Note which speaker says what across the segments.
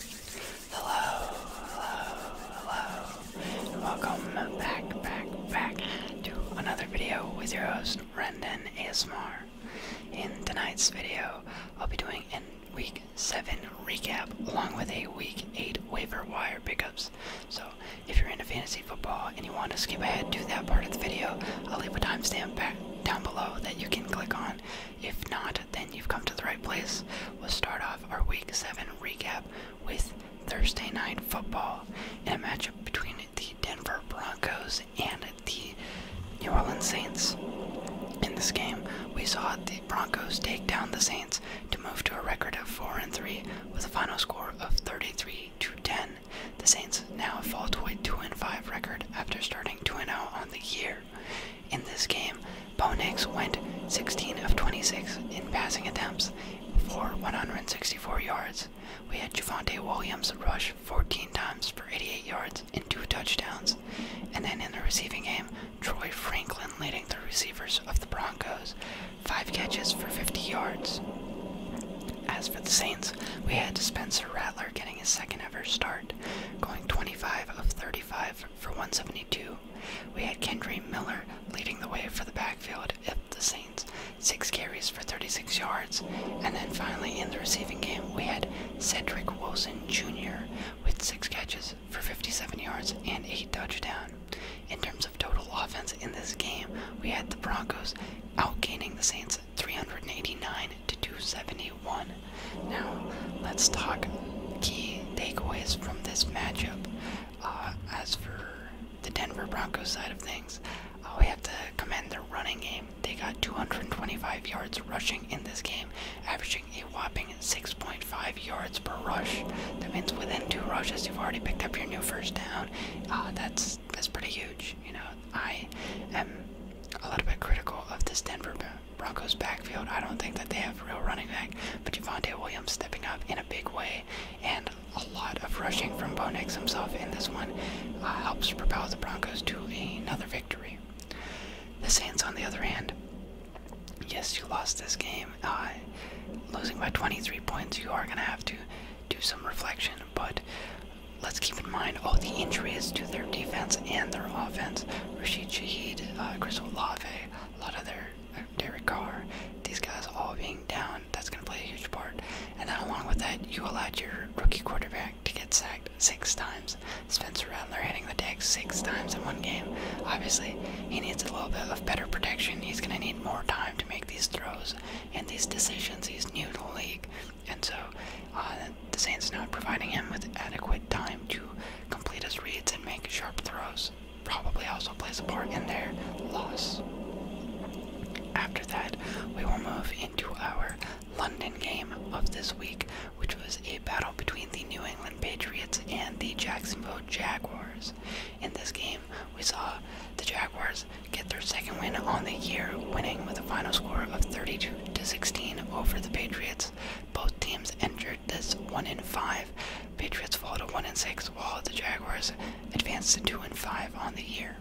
Speaker 1: Hello, hello, hello, and welcome back, back, back to another video with your host, Brendan ASMR. In tonight's video, I'll be doing a week 7 recap along with a week 8 waiver wire pickups. So, if you're into fantasy football and you want to skip ahead to that part of the video, I'll leave a timestamp back down below that you can click on if not, then you've come to the right place. We'll start off our Week 7 recap with Thursday night football in a matchup between the Denver Broncos and the New Orleans Saints. In this game, we saw the Broncos take down the Saints to move to a record of 4 and 3 with a final score of 33 to 10. The Saints now fall to a 2 and 5 record after starting 2 and 0 on the year in this game, Bo Nix went 16 of 26 in passing attempts for 164 yards. We had Javante Williams rush 14 times for 88 yards and two touchdowns. And then in the receiving game, Troy Franklin leading the receivers of the Broncos, five catches for 50 yards. As for the Saints, we had Spencer Rattler getting his second ever start, going 25 of 35 for 172. We had Kendry Miller leading the way for the backfield if the Saints, six carries for 36 yards. And then finally in the receiving game, we had Cedric Wilson Jr. with six catches for 57 yards and eight touchdowns. In terms of total offense in this game, we had the Broncos outgaining the Saints 389 to 271. Now, let's talk key takeaways from this matchup. Uh, as for the Denver Broncos side of things, uh, we have to commend their running game. They got 225 yards rushing in this game, averaging a whopping 6.5 yards per rush. That means within two rushes, you've already picked up your new first down. Uh, that's that's pretty huge. You know, I am a little bit critical of this Denver Broncos backfield, I don't think that they have real running back, but Javante Williams stepping up in a big way, and a lot of rushing from Bo Nix himself in this one uh, helps propel the Broncos to another victory. The Saints, on the other hand, yes, you lost this game. Uh, losing by 23 points, you are going to have to do some reflection, but let's keep in mind all the injuries to their defense and their offense. Rushid Shahid, uh, Chris Olave, a lot of their uh, Derek Carr, these guys all being down, that's going to play a huge part. And then along with that, you allowed your rookie quarterback to get sacked six times. Spencer Rattler hitting the deck six times in one game. Obviously, he needs a little bit of better protection. He's going to need more time to make these throws and these decisions. He's new to the league. And so uh, the Saints not providing him with adequate time to complete his reads, and make sharp throws. Probably also plays a part in their loss. After that, we will move into our London game of this week, which was a battle between the New England Patriots and the Jacksonville Jaguars. In this game, we saw the Jaguars get their second win on the year, winning with a final score of 32 to 16 over the Patriots. Both teams entered record that's one in five. Patriots fall to one in six, while the Jaguars advance to two and five on the year.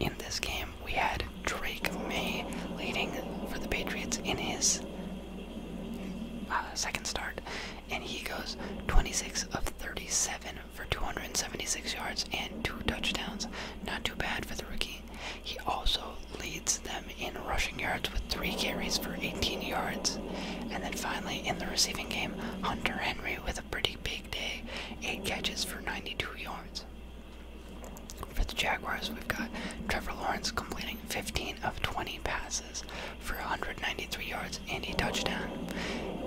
Speaker 1: In this game, we had Drake May leading for the Patriots in his uh, second start, and he goes 26 of 37 for 276 yards and two touchdowns. Not too bad for the rookie. He also leads them in rushing yards with three carries for 18 yards. And then finally, in the receiving game, Hunter Henry with a pretty big day, eight catches for 92 yards. For the Jaguars, we've got Trevor Lawrence completing 15 of 20 passes for 193 yards and a touchdown.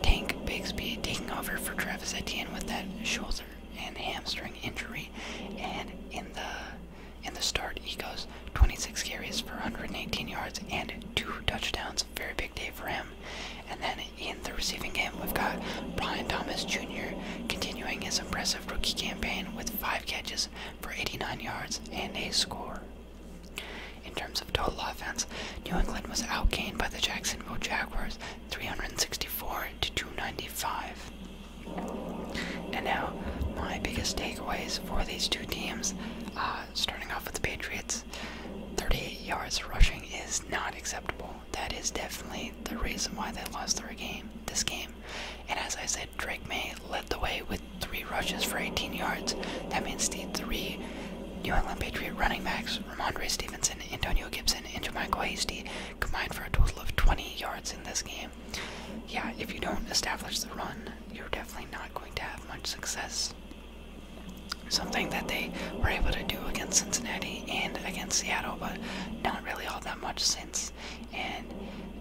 Speaker 1: Tank Bigsby taking over for Travis Etienne with that shoulder and hamstring injury. And in the in the start, he goes 26 carries for 118 yards and two touchdowns. Very big day for him. And then in the receiving game, we've got Brian Thomas Jr. continuing his impressive rookie campaign with five catches for 89 yards and a score. In terms of total offense, New England was outgained by the Jacksonville Jaguars 364 to 295. And now, my biggest takeaways for these two teams, uh, starting off with the Patriots, thirty yards rushing is not acceptable. That is definitely the reason why they lost their game, this game. And as I said, Drake May led the way with three rushes for 18 yards. That means the three New England Patriot running backs, Ramondre Stevenson, Antonio Gibson, and Jermichael Hasty, combined for a total of 20 yards in this game. Yeah, if you don't establish the run, you're definitely not going to have much success. Something that they were able to do against Cincinnati and against Seattle, but not really all that much since. And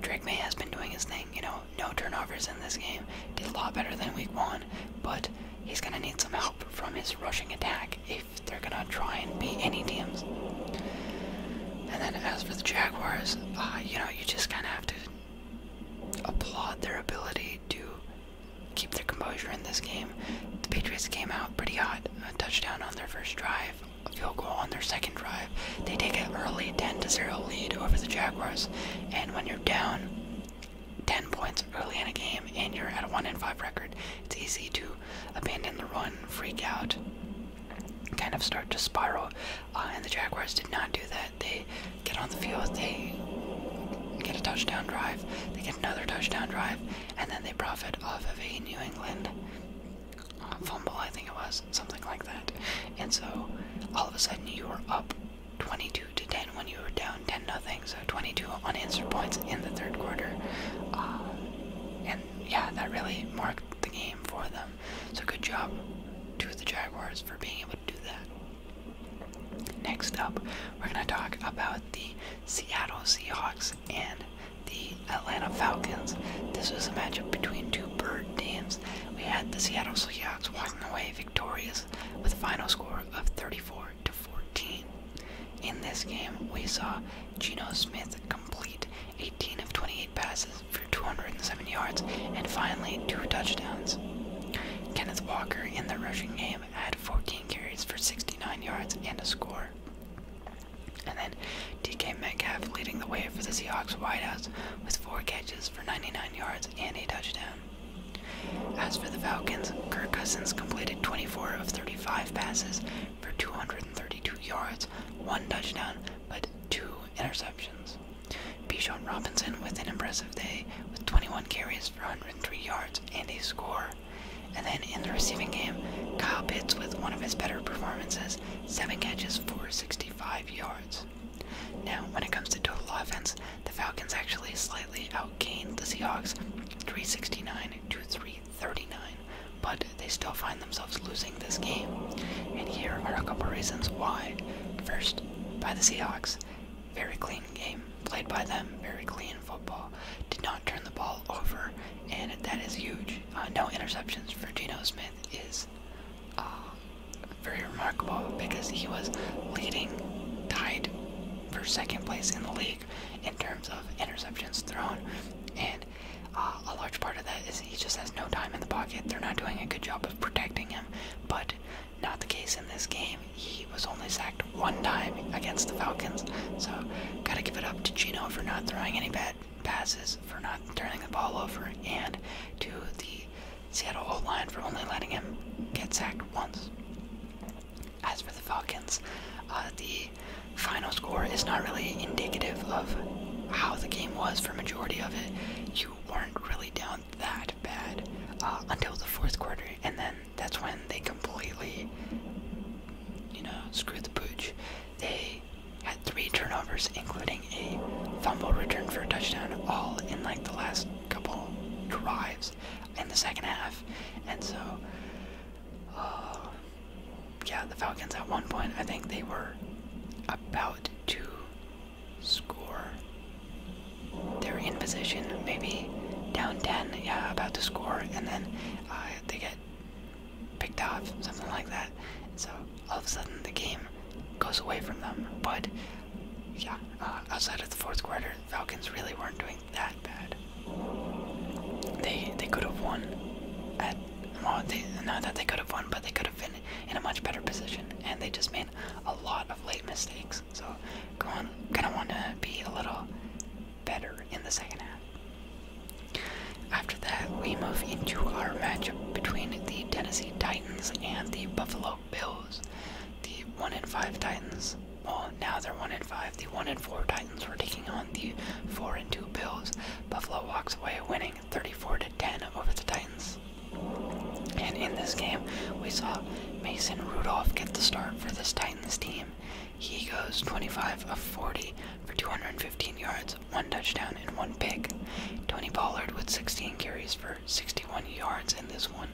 Speaker 1: Drake May has been doing his thing, you know, no turnovers in this game. Did a lot better than week one, but he's going to need some help from his rushing attack if they're going to try and beat any teams. And then as for the Jaguars, uh, you know, you just kind of have to applaud their ability to keep their composure in this game. The Patriots came out pretty hot, a touchdown on their first drive, a field goal on their second drive. They take an early 10 0 lead over the Jaguars, and when you're down 10 points early in a game and you're at a 1 5 record, it's easy to abandon the run, freak out, kind of start to spiral. Uh, and the Jaguars did not do that. They get on the field, they get a touchdown drive, they get another touchdown drive, and then they profit off of a New England uh, fumble, I think it was, something like that. And so all of a sudden you were up 22 to 10 when you were down 10 nothing. So 22 unanswered points in the third quarter. Uh, and yeah, that really marked the game for them. So good job to the Jaguars for being able to do that. Next up, we're going to talk about the Seattle Seahawks and the Atlanta Falcons. This was a matchup between two bird teams. We had the Seattle Seahawks walking away victorious with a final score of 34 to 14. In this game, we saw Geno Smith complete 18 of 28 passes for 207 yards and finally two touchdowns. Kenneth Walker in the rushing game had 14 carries for 69 yards and a score. And then DK Metcalf leading the way for the Seahawks wideouts with four catches for 99 yards and a touchdown. As for the Falcons, Kirk Cousins completed 24 of 35 passes for 232 yards, one touchdown, but two interceptions. Bijan Robinson with an impressive day with 21 carries for 103 yards and a score. And then in the receiving game, Kyle Pitts with one of his better performances, 7 catches for 65 yards. Now, when it comes to total offense, the Falcons actually slightly outgained the Seahawks 369 to 339 but they still find themselves losing this game. And here are a couple reasons why. First, by the Seahawks. Very clean game played by them, very clean football. Did not turn the ball over, and that is huge. Uh, no interceptions for Geno Smith is uh, very remarkable because he was leading, tied for second place in the league in terms of interceptions thrown, and uh, a large part of that is he just has no time in the pocket. They're not doing a good job of protecting him, but not the case in this game. He was only sacked one time against the Falcons, so gotta give it up to Gino for not throwing any bad passes, for not turning the ball over, and to the Seattle O line for only letting him get sacked once. As for the Falcons, uh, the final score is not really indicative of how the game was majority of it, you weren't really down that bad uh, until the fourth quarter, and then that's when they completely, you know, screwed the pooch. They had three turnovers, including a fumble return for a touchdown, all in like the last couple drives in the second half, and so. Uh, yeah, the Falcons at one point, I think they were about to score. They are in position, maybe down 10, yeah, about to score, and then uh, they get picked off, something like that. So all of a sudden the game goes away from them. But yeah, uh, outside of the fourth quarter, the Falcons really weren't doing that bad. They they could have won at they, not that they could have won, but they could have in a much better position, and they just made a lot of late mistakes. So, going gonna want to be a little better in the second half. After that, we move into our matchup between the Tennessee Titans and the Buffalo Bills. The one in five Titans. Well, now they're one in five. The one in four Titans were taking on the four and two Bills. Buffalo walks away winning 34 to 10 over the Titans. And in this game, we saw Mason Rudolph get the start for this Titans team. He goes 25 of 40 for 215 yards, one touchdown, and one pick. Tony Pollard with 16 carries for 61 yards in this one,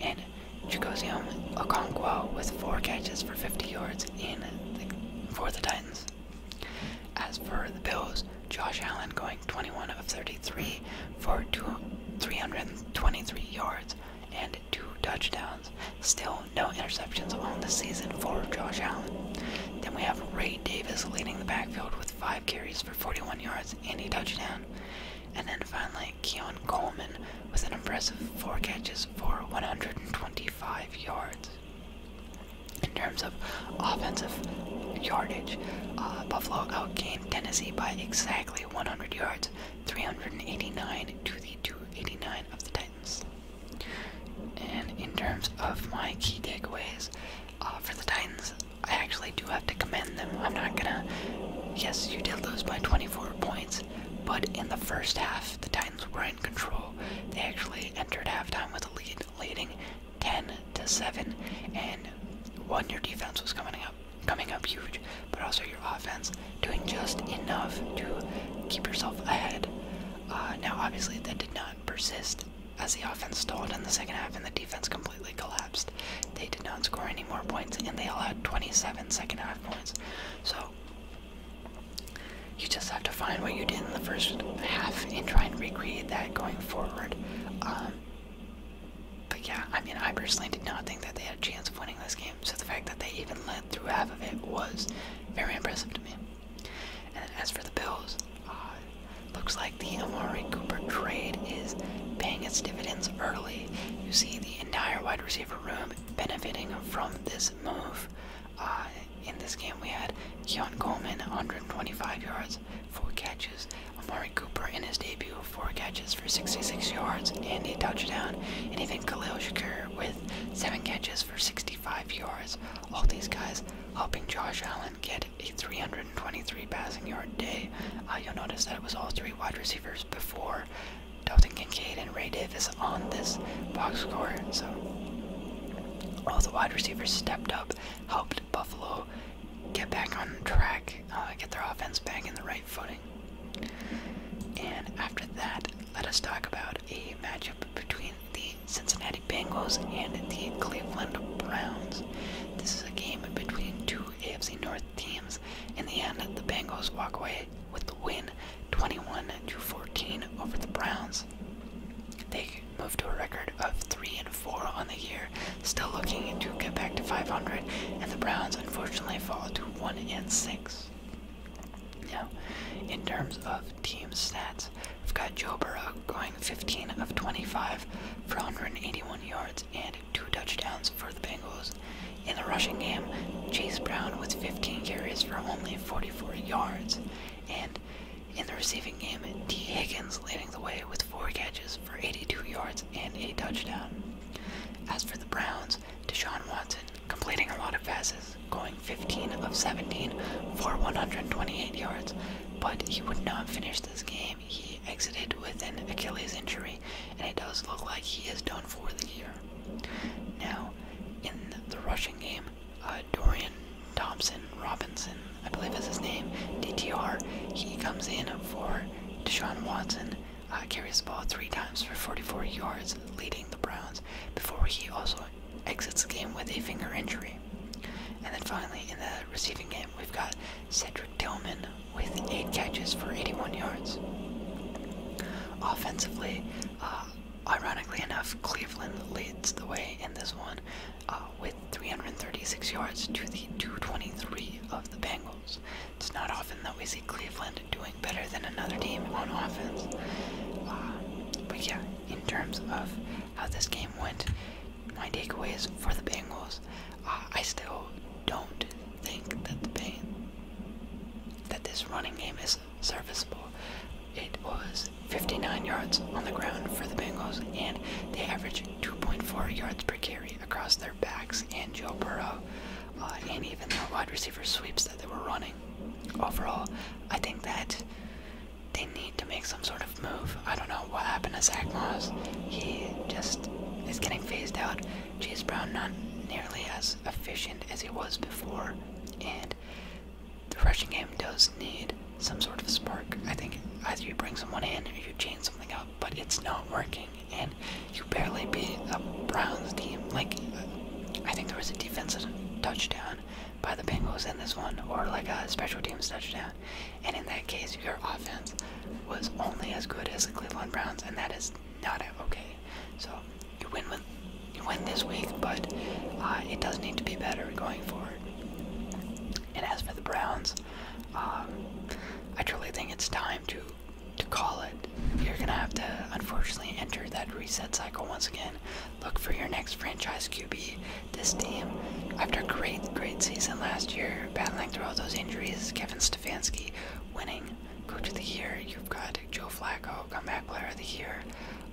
Speaker 1: and Chikosium Okonkwo with four catches for 50 yards in for the Titans. As for the Bills, Josh Allen going 21 of 33 for two, 323 yards and two touchdowns. Still no interceptions on the season for Josh Allen. Then we have Ray Davis leading the backfield with five carries for 41 yards and a touchdown. And then finally, Keon Coleman with an impressive four catches for 125 yards. In terms of offensive yardage, uh, Buffalo outgained Tennessee by exactly 100 yards, 389 to the 289 of the Titans. And in terms of my key takeaways uh, for the Titans, I actually do have to commend them. I'm not gonna. Yes, you did lose by 24 points, but in the first half, the Titans were in control. They actually entered halftime with a lead leading 10 to 7. And one, your defense was coming up, coming up huge, but also your offense doing just enough to keep yourself ahead. Uh, now, obviously, that did not persist as the offense stalled in the second half and the defense completely collapsed. They did not score any more points, and they allowed 27 second half points. So, you just have to find what you did in the first half and try and recreate that going forward. Um, but yeah, I mean, I personally did not think that they had a chance of winning this game, so the fact that they even led through half of it was very impressive to me. And as for the Bills, uh, looks like the Amari Cooper trade is paying its dividends early. You see the entire wide receiver room benefiting from this move. Uh, in this game, we had Keon Coleman, 125 yards, 4 catches. Amari Cooper in his debut, 4 catches for 66 yards and a touchdown. And even Khalil Shakur with 7 catches for 65 yards. All these guys helping Josh Allen get a 323 passing yard day. Uh, you'll notice that it was all three wide receivers before Dalton Kincaid and Ray Davis on this box score. So all the wide receivers stepped up helped Buffalo get back on track, uh, get their offense back in the right footing. And after that, let us talk about a matchup between the Cincinnati Bengals and the Cleveland Browns. This is a game between two AFC North teams. In the end, the Bengals walk away with the win 21 to 14 over the Browns. They moved to a record of 3 and 4 on the year, still looking to get back to 500, and the Browns unfortunately fall to 1 and 6. Now, in terms of team stats, we've got Joe Burrow going 15 of 25 for 181 yards and 2 touchdowns for the Bengals. In the rushing game, Chase Brown was 15 carries for only 44 yards. And in the receiving game, D. Higgins leading the way with four catches for 82 yards and a touchdown. As for the Browns, Deshaun Watson completing a lot of passes, going 15 of 17 for 128 yards, but he would not finish this game. He exited with an Achilles injury, and it does look like he is done for the year. Now, in the rushing game, uh, Dorian Thompson Robinson, I believe is his name, DTR. He comes in for Deshaun Watson, uh, carries the ball three times for 44 yards, leading the Browns, before he also exits the game with a finger injury. And then finally, in the receiving game, we've got Cedric Tillman with eight catches for 81 yards. Offensively, uh, ironically enough, Cleveland leads the way in this one uh, with 336 yards to the 223 of the Bengals. It's not often that we see Cleveland doing better than another team on offense. Uh, but yeah, in terms of how this game went, my takeaways for the Bengals, uh, I still don't think that the pain, that this running game is serviceable. It was 59 yards on the ground for the Bengals, and they averaged 2.4 yards per carry across their backs and Joe Burrow, uh, and even their wide receiver sweeps that they were running. Overall, I think that they need to make some sort of move. I don't know what happened to Zach Moss. He just is getting phased out. Chase Brown not nearly as efficient as he was before, and the rushing game does need some sort of spark. I think either you bring someone in or you change something up, but it's not working, and you barely beat the Browns team. Like, I think there was a defensive touchdown by the Bengals in this one, or like a special teams touchdown, and in that case, your offense was only as good as the Cleveland Browns, and that is not okay. So you win with you win this week, but uh, it does need to be better going forward. And as for the Browns, um, I truly think it's time to to call it. You're gonna have to unfortunately enter that reset cycle once again. Look for your next franchise QB. This team, after a great, great season last year, battling through all those injuries, Kevin Stefanski winning Coach of the Year. You've got Joe Flacco, Comeback Player of the Year.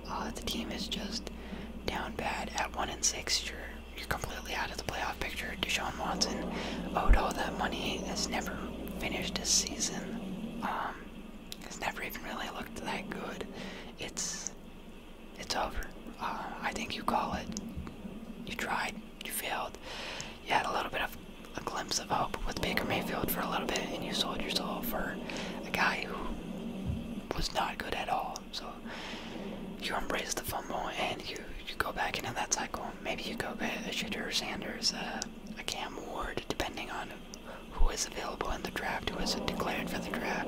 Speaker 1: Uh, the team is just down bad at one and six. You're you're completely out of the playoff picture. Deshaun Watson owed all that money. Has never finished his season. It's um, never even really looked that good. It's it's over. Uh, I think you call it. You tried. You failed. You had a little bit of a glimpse of hope with Baker Mayfield for a little bit, and you sold your soul for a guy who was not good at all. So you embrace the fumble and you, go back into that cycle. Maybe you go get a shooter, Sanders, uh, a Cam Ward, depending on who is available in the draft, who is declared for the draft.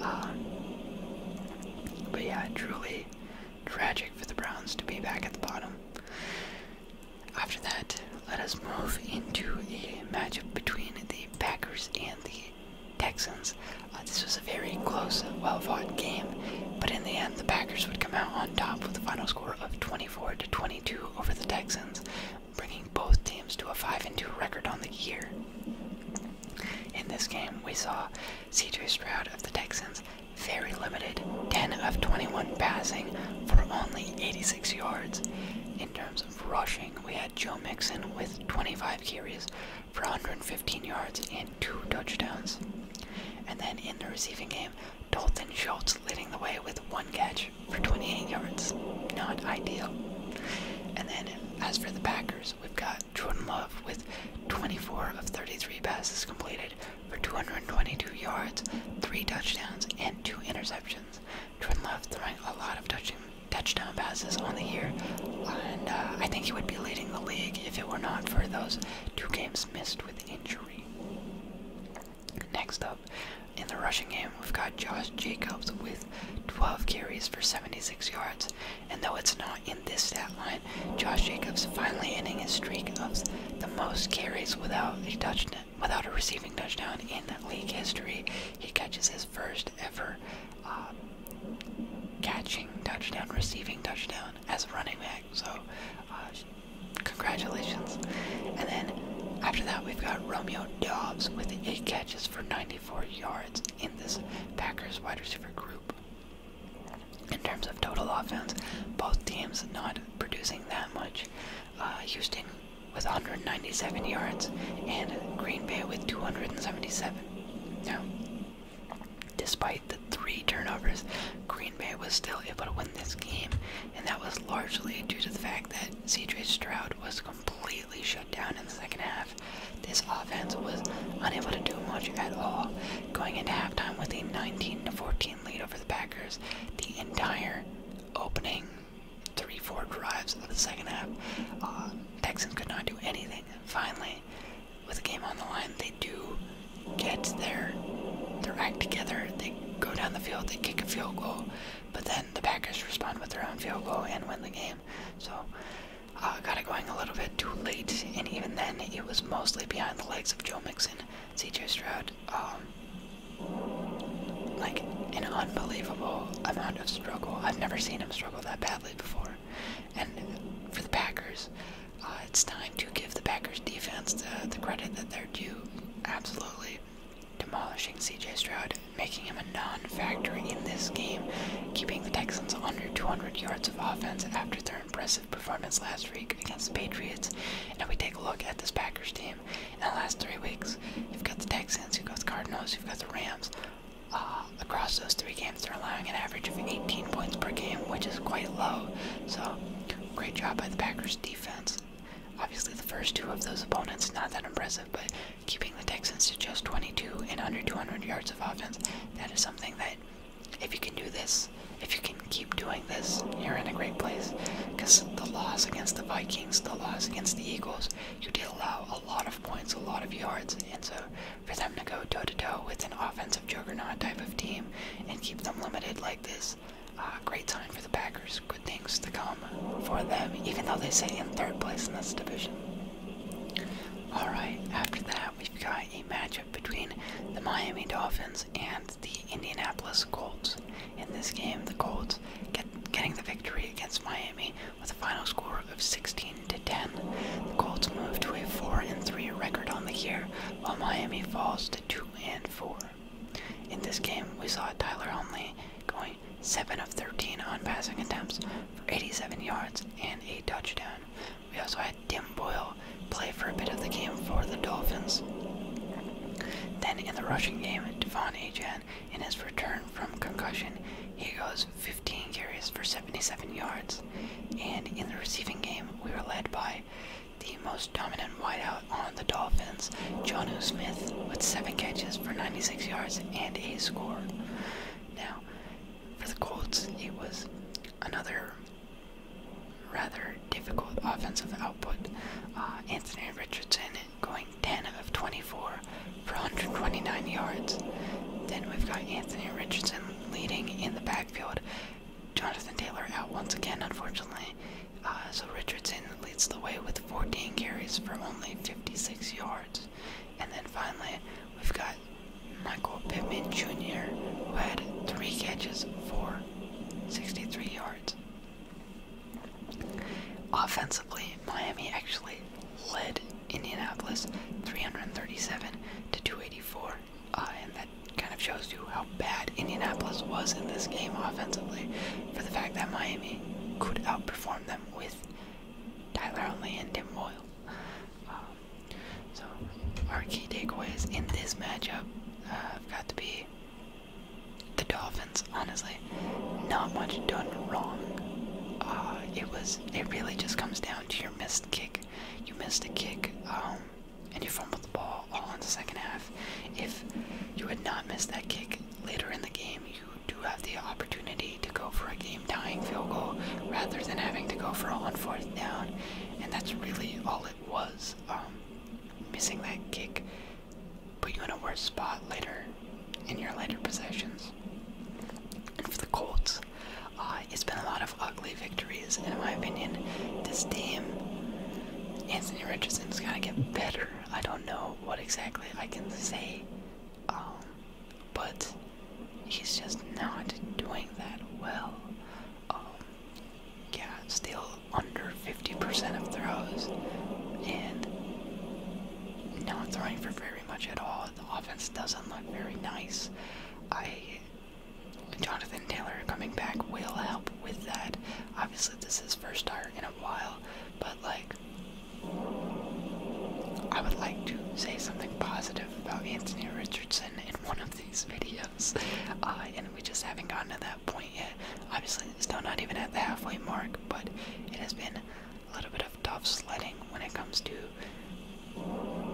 Speaker 1: Um, but yeah, truly tragic for the Browns to be back at the bottom. After that, let us move into a matchup between the Packers and the Texans. Uh, this was a very close, well fought game, but in the end, the Packers would come out on top with a final score of 24 to 22 over the Texans, bringing both teams to a 5 and 2 record on the year. In this game, we saw Cedric Stroud of the Texans very limited, 10 of 21 passing for only 86 yards. In terms of rushing, we had Joe Mixon with 25 carries for 115 yards and two touchdowns. And then in the receiving game, Dalton Schultz leading the way with one catch for 28 yards. Not ideal. And then as for the Packers, we've got Jordan Love with 24 of 33 passes completed for 222 yards, three touchdowns, and two interceptions. Jordan Love throwing a lot of touchdown touchdown passes on the year, and uh, I think he would be leading the league if it were not for those two games missed with injury. Next up, in the rushing game, we've got Josh Jacobs with 12 carries for 76 yards, and though it's not in this stat line, Josh Jacobs finally ending his streak of the most carries without a touchdown, without a receiving touchdown in league history. He catches his first ever uh, catching touchdown, receiving touchdown as a running back. So, uh, congratulations. And then after that, we've got Romeo Dobbs with eight catches for 94 yards in this Packers wide receiver group. In terms of total offense, both teams not producing that much. Uh, Houston with 197 yards and Green Bay with 277. Now, despite the three turnovers, Green Bay was still able to win this game, and that was largely due to the fact that Cedric Stroud was completely shut down in the second half. This offense was unable to do much at all, going into halftime with a 19-14 lead over the Packers. The entire opening three, four drives of the second half, uh, Texans could not do anything finally, with the game on the line, they do get their their act together. They go down the field, they kick a field goal, but then the Packers respond with their own field goal and win the game. So, uh, got it going a little bit too late, and even then, it was mostly behind the legs of Joe Mixon, C.J. Stroud. Um, like an unbelievable amount of struggle. I've never seen him struggle that badly before. And for the Packers, uh, it's time to give the Packers defense the, credit that they're due. Absolutely demolishing CJ Stroud, making him a non factor in this game, keeping the Texans under 200 yards of offense after their impressive performance last week against the Patriots. And we take a look at this Packers team in the last three weeks, you've got the Texans, you've got the Cardinals, you've got the Rams. Uh, across those three games, they're allowing an average of 18 points per game, which is quite low. So, great job by the Packers defense. Obviously, the first two of those opponents, not that impressive, but keeping the Texans to just 22 and under 200 yards of offense, that is something that, if you can do this, if you can keep doing this, you're in a great place. Because the loss against the Vikings, the loss against the Eagles, you did allow a lot of points, a lot of yards, and so for them to go toe to toe with an offensive juggernaut type of team and keep them limited like this, uh, great sign for the Packers. Good things to come for them, even though they sit in third place in this division. Alright, after that, we've got a matchup between the Miami Dolphins and the Indianapolis Colts. In this game, the Colts get, getting the victory against Miami with a final score of 16 to 10, the Colts move to a 4 and 3 record on the year, while Miami falls to 2 and 4. In this game, we saw Tyler Huntley going 7 of 13 on passing attempts for 87 yards and a touchdown. We also had Tim Boyle play for a bit of the game for the Dolphins. Then in the rushing game, Devon Achan, in his return from concussion, he goes 15 carries for 77 yards. And in the receiving game, we were led by the most dominant wideout on the Dolphins, Jonu Smith, with 7 catches for 96 yards and a score. Now, for the Colts, it was another rather difficult offensive output. Uh, Anthony Richardson going 10 of 24 for 129 yards. Then we've got Anthony Richardson leading in the backfield. Jonathan Taylor out once again, unfortunately. Uh, so Richardson leads the way with 14 carries for only 56 yards. And then finally, we've got Michael Pittman Jr., who had three catches for 63 yards. Offensively, Miami actually led Indianapolis 337 to 284, uh, and that kind of shows you how bad Indianapolis was in this game offensively, for the fact that Miami could outperform them with Tyler Only and Tim Boyle. Um, so our key takeaways in this matchup uh, have got to be the Dolphins. Honestly, not much done wrong. Uh, it was it really just comes down to your missed kick. You missed a kick, um, and you fumbled the ball all in the second half. If you had not missed that kick later in the game, you do have the opportunity to go for a game tying field goal rather than having to go for a on fourth down, and that's really all it was. Um, missing that kick put you in a worse spot later in your later possessions. For the Colts, uh, it's been a lot of ugly victories, in my opinion. This team, Anthony Richardson's got to get better. I don't know what exactly I can say, um, but he's just not doing that well. Um, yeah, still under 50% of throws, and not throwing for very much at all the offense doesn't look very nice. I, Jonathan Taylor coming back will help with that. Obviously, this is first start in a while, but like, I would like to say something positive about Anthony Richardson in one of these videos, uh, and we just haven't gotten to that point yet. Obviously, still not even at the halfway mark, but it has been a little bit of tough sledding when it comes to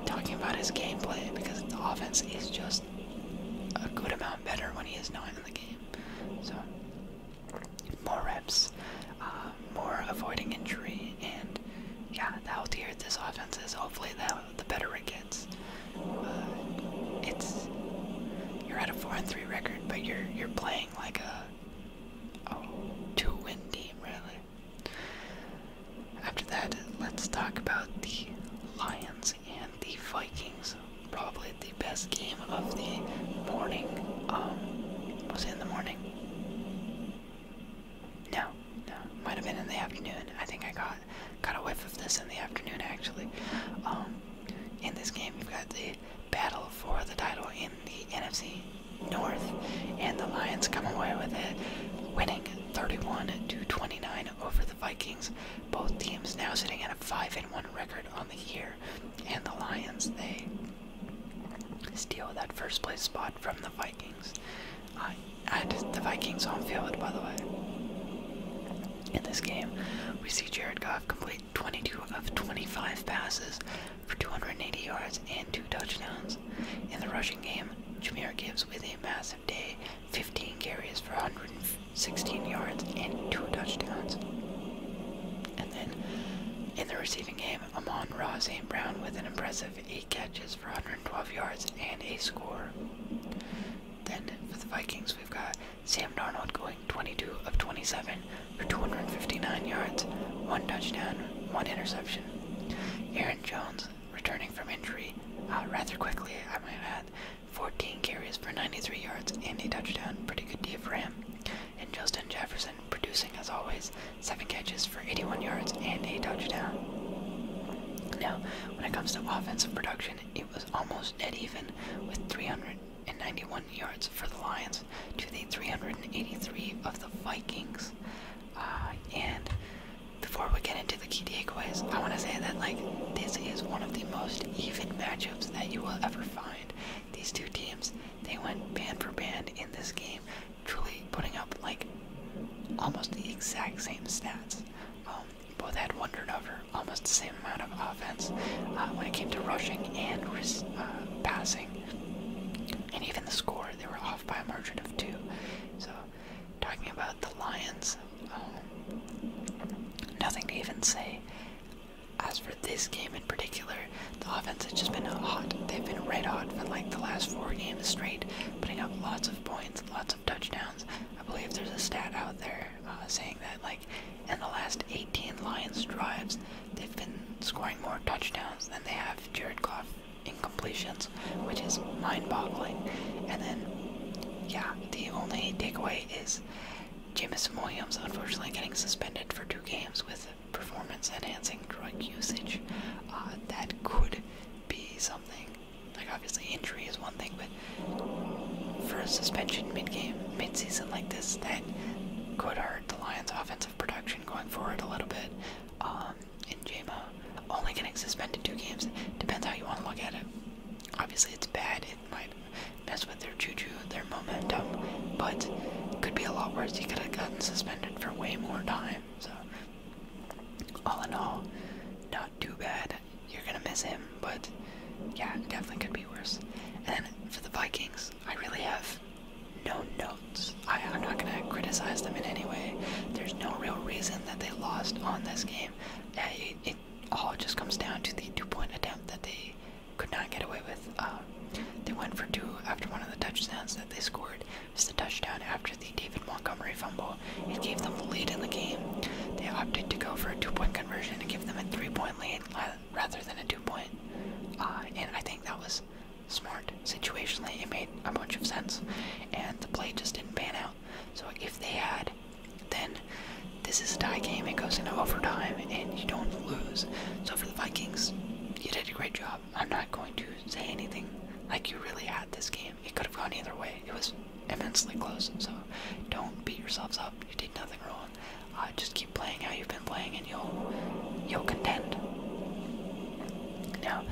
Speaker 1: talking about his gameplay because the offense is just a good amount better when he is not in the game. So, more reps, uh, more avoiding injury, and yeah, the healthier this offense is, hopefully, the, the better it gets. Uh, it's you're at a four and three record, but you're you're playing like a, a two win team really. After that, let's talk about the Lions and the Vikings. Probably the best game of the morning. Um, was it in the morning? No, no, might have been in the afternoon. I think I got got a whiff of this in the afternoon actually. Um, in this game, we have got the battle for the title in the NFC North, and the Lions come away with it, winning 31 29 over the Vikings. Both teams now sitting at a 5 and 1 record on the year, and the Lions they steal that first place spot from the Vikings. the Vikings home field, by the way. In this game, we see Jared Goff complete 22 of 25 passes for 280 yards and two touchdowns. In the rushing game, Jameer Gibbs with a massive day, 15 carries for 116 yards and two touchdowns. And then in the receiving game, Amon Ross and Brown with an impressive 8 catches for 112 yards and a score. Then for the Vikings, we've got Sam Darnold going 22 of 27 for 259 yards, one touchdown, one interception, Aaron Jones, returning from injury uh, rather quickly, I might add, 14 carries for 93 yards and a touchdown. Pretty good deal for him. And Justin Jefferson, producing as always, 7 catches for 81 yards and a touchdown. Now, when it comes to offensive production, it was almost dead even with 391 yards for the Lions to the 383 of the Vikings. Uh, and before we get into the key takeaways, I want to say that like this is one of the most even matchups that you will ever find. These two teams, they went band for band in this game, truly putting up like almost the exact same stats. Um, both had one turnover, almost the same amount of offense uh, when it came to rushing and uh, passing, and even the score they were off by a margin of two. So, talking about the Lions, um, nothing to even say. As for this game in particular, the offense has just been hot. They've been red hot for like the last four games straight, putting up lots of points, lots of touchdowns. I believe there's a stat out there uh, saying that, like, in the last 18 Lions drives, they've been scoring more touchdowns than they have Jared Goff incompletions, which is mind-boggling. And then, yeah, the only takeaway is James Williams unfortunately getting suspended for two games with performance-enhancing drug usage. Uh, that could be something. Like obviously injury is one thing, but for a suspension mid-game, mid-season like this, that could hurt the Lions' offensive production going forward a little bit. Um, in JMO only getting suspended two games. Depends how you want to look at it. Obviously, it's bad. It might mess with their juju, their momentum, but it could be a lot worse. You could have gotten suspended for way more time. So, all in all, not too bad. You're gonna miss him, but yeah, definitely could be worse. And for the Vikings, I really have no notes. I, am not going to criticize them in any way. There's no real reason that they lost on this game. It, all just comes down to the two point attempt that they could not get away with. Um, they went for two after one of the touchdowns that they scored. It was the touchdown after the David Montgomery fumble. It gave them the lead in the game. They opted to go for a two point conversion and give them a three point lead rather than a two point. Uh, and I think that was smart. Situationally, it made a bunch of sense, and the play just didn't pan out. So if they had, then this is a tie game. It goes into overtime, and you don't lose. So for the Vikings, you did a great job. I'm not going to say anything like you really had this game. It could have gone either way. It was immensely close. So don't beat yourselves up. You did nothing wrong. Uh, just keep playing how you've been playing you'll you'll contend. Now,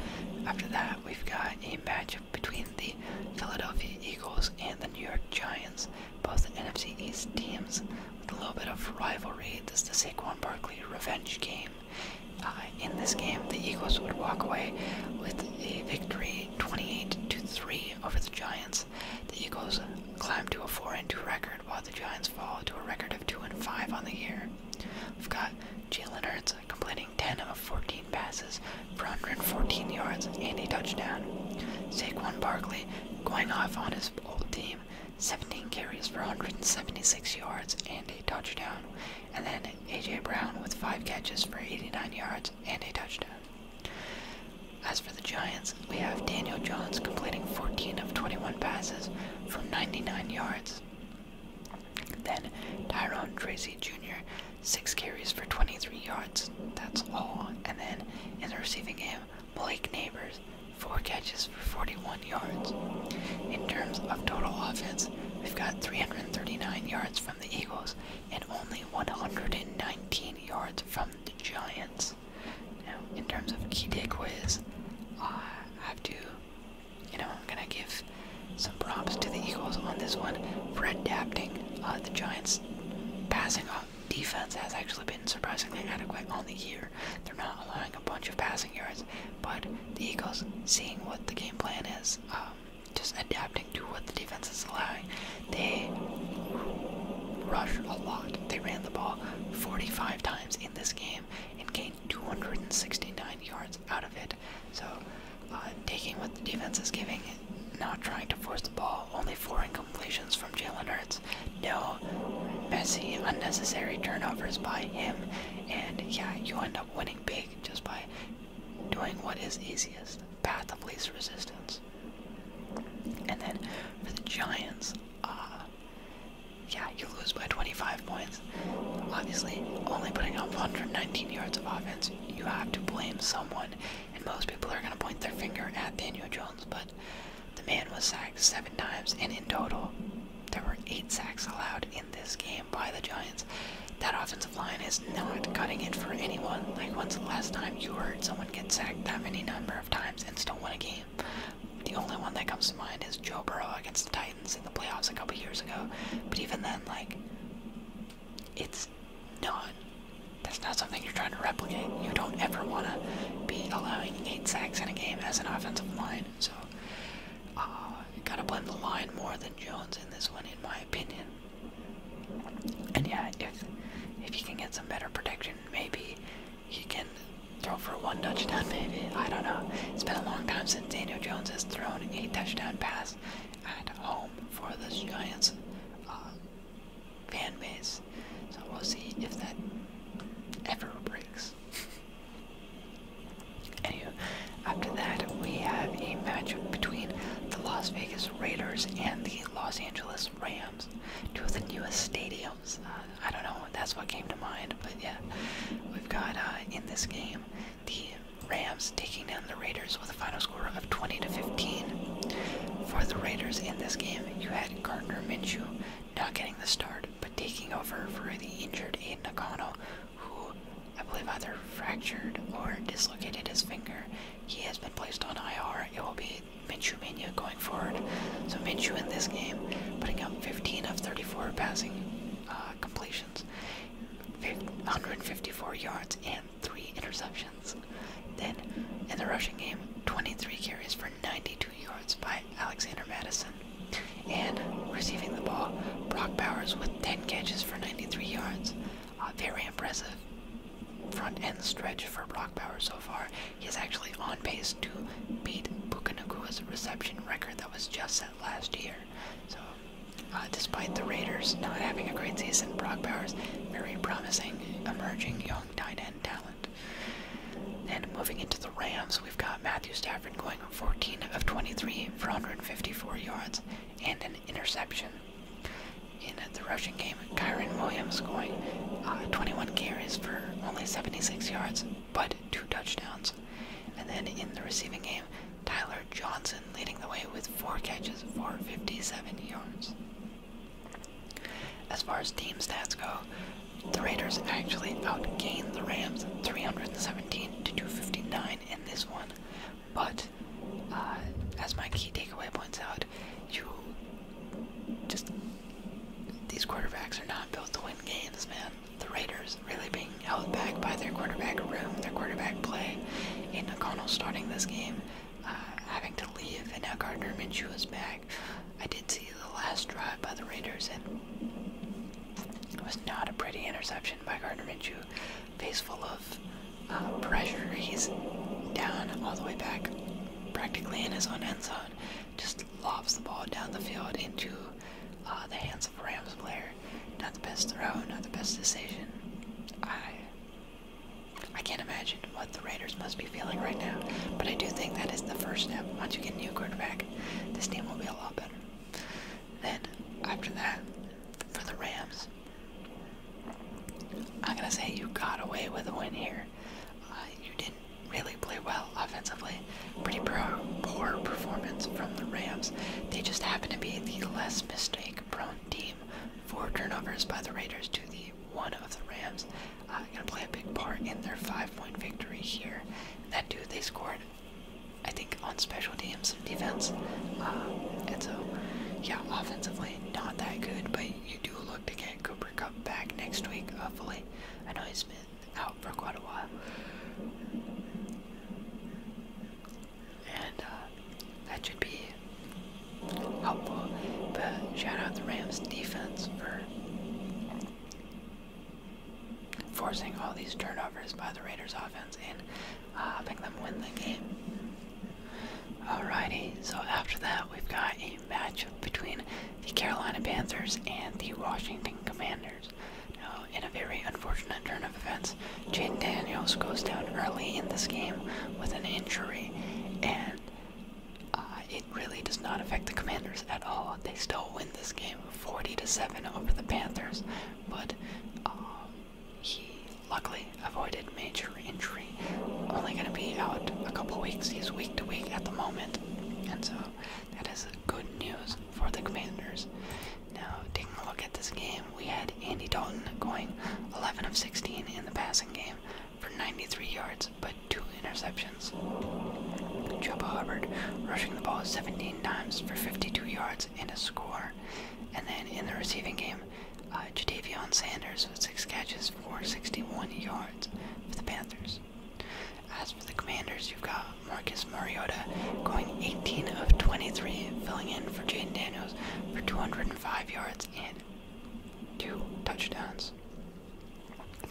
Speaker 1: after that, we've got a matchup between the Philadelphia Eagles and the New York Giants, both NFC East teams with a little bit of rivalry. This is the Saquon Barkley revenge game. Uh, in this game, the Eagles would walk away with a victory, 28 to three, over the Giants. The Eagles climbed to a four and two record while the Giants fall to a record of 2 and 5 on the year. We've got Jalen Hurts completing 10 of 14 passes for 114 yards and a touchdown. Saquon Barkley going off on his old team, 17 carries for 176 yards and a touchdown. And then A.J. Brown with 5 catches for 89 yards and a touchdown. As for the Giants, we have Daniel Jones completing 14 of 21 passes for 99 yards. Then Tyrone Tracy Jr., six carries for 23 yards. That's all. And then in the receiving game, Blake Neighbors, four catches for 41 yards. In terms of total offense, we've got 339 yards from the Eagles and only 119 yards from the Giants. Now, in terms of key takeaways, I have to you know, I'm gonna give some props to the Eagles on this one for adapting. Uh, the Giants' passing off defense has actually been surprisingly adequate all year. They're not allowing a bunch of passing yards, but the Eagles seeing what the game plan is, um, just adapting to what the defense is allowing. They rush a lot. They ran the ball 45 times in this game and gained 269 yards out of it. So, uh, taking what the defense is giving, not trying to force the ball, only four incompletions from Jalen Hurts. No messy, unnecessary turnovers by him. And yeah, you end up winning big just by doing what is easiest path of least resistance. And then for the Giants, uh, yeah, you lose by 25 points. Obviously, only putting up 119 yards of offense, you have to blame someone, and most people are going to point their finger at Daniel Jones, but the man was sacked seven times, and in total, there were eight sacks allowed in this game by the Giants. That offensive line is not cutting it for anyone. Like, once, the last time you heard someone get sacked that many number of times and still win a game? The only one that comes to mind is Joe Burrow against the Titans in the playoffs a couple years ago. But even then, like, it's not. That's not something you're trying to replicate. You don't ever want to be allowing eight sacks in a game as an offensive line. So, uh, gotta blend the line more than Jones in this one, in my opinion. And yeah, if if you can get some better protection, maybe you can Throw for one touchdown, maybe. I don't know. It's been a long time since Daniel Jones has thrown a touchdown pass at home for the Giants uh, fan base. So we'll see if that ever breaks. Anywho, after that, we have a matchup between the Las Vegas Raiders and the Los Angeles Rams, two of the newest stadiums uh, I don't know, that's what came to mind, but yeah. We've got uh, in this game the Rams taking down the Raiders with a final score of 20 to 15. For the Raiders in this game, you had Gardner Minshew not getting the start, but taking over for the injured Aiden O'Connell, who I believe either fractured or dislocated his finger. He has been placed on IR. It will be Minshew Mania going forward. So Minshew in this game, putting up 15 of 34 passing, uh, completions, 154 yards, and three interceptions. Then, in the rushing game, 23 carries for 92 yards by Alexander Madison. And receiving the ball, Brock Bowers with 10 catches for 93 yards. Uh, very impressive front end stretch for Brock Bowers so far. He's actually on pace to beat Bukanukua's reception record that was just set last year. So, uh, despite the Raiders not having a great season, Brock Bowers, very promising, emerging young tight end talent. And moving into the Rams, we've got Matthew Stafford going 14 of 23 for 154 yards and an interception. In the rushing game, Kyron Williams going uh, 21 carries for only 76 yards, but two touchdowns. And then in the receiving game, Tyler Johnson leading the way with four catches for 57 yards. As far as team stats go, the Raiders actually outgained the Rams 317 to 259 in this one, but uh, as my key takeaway points out, you just these quarterbacks are not built to win games, man the Raiders really being held back by their quarterback room, their quarterback play. Aiden O'Connell starting this game, uh, having to leave, and now Gardner Minshew is back. I did see the last drive by the Raiders, and it was not a pretty interception by Gardner Minshew. Face full of uh, pressure, he's down all the way back, practically in his own end zone. Just lobs the ball down the field into uh, the hands Rams player. Not the best throw, not the best decision. I I can't imagine what the Raiders must be feeling right now. But I do think that is the first step. Once you get a new quarterback, this team will be a lot better. Then after that, for the Rams, I'm gonna say you got away with a win here. Uh, you didn't really play well offensively. Pretty pro, poor performance from the Rams. They just happen to be the less mistake-prone team. Four turnovers by the Raiders to the one of the Rams. Uh, gonna play a big part in their five-point victory here. that dude they scored, I think, on special teams defense. Uh, and so, yeah, offensively not that good, but you do look to get Cooper Cup back next week, hopefully. I know he's been out for quite a while. And uh, that should be helpful. But shout out the Rams defense for forcing all these turnovers by the Raiders offense and uh, them win the game. Alrighty, so after that we've got a matchup between the Carolina Panthers and the Washington Commanders. Now, uh, in a very unfortunate turn of events, Jaden Daniels goes down early in this game with an injury, and uh, it really does not affect the Commanders at all. They still win this game 40 to 7 over the Panthers, but uh, he luckily avoided major injury. Only going to be out a couple weeks. He's week to week at the moment, and so that is good news for the Commanders. Now, taking a look at this game, we had Andy Dalton going 11 of 16 in the passing game for 93 yards, but two interceptions. Chuba Hubbard rushing the ball 17 times for 52 yards and a score. And then in the receiving game, uh, Jadavion Sanders with six catches for 61 yards for the Panthers. As for the Commanders, you've got Marcus Mariota going 18 of 23, filling in for Jaden Daniels for 205 yards and two touchdowns.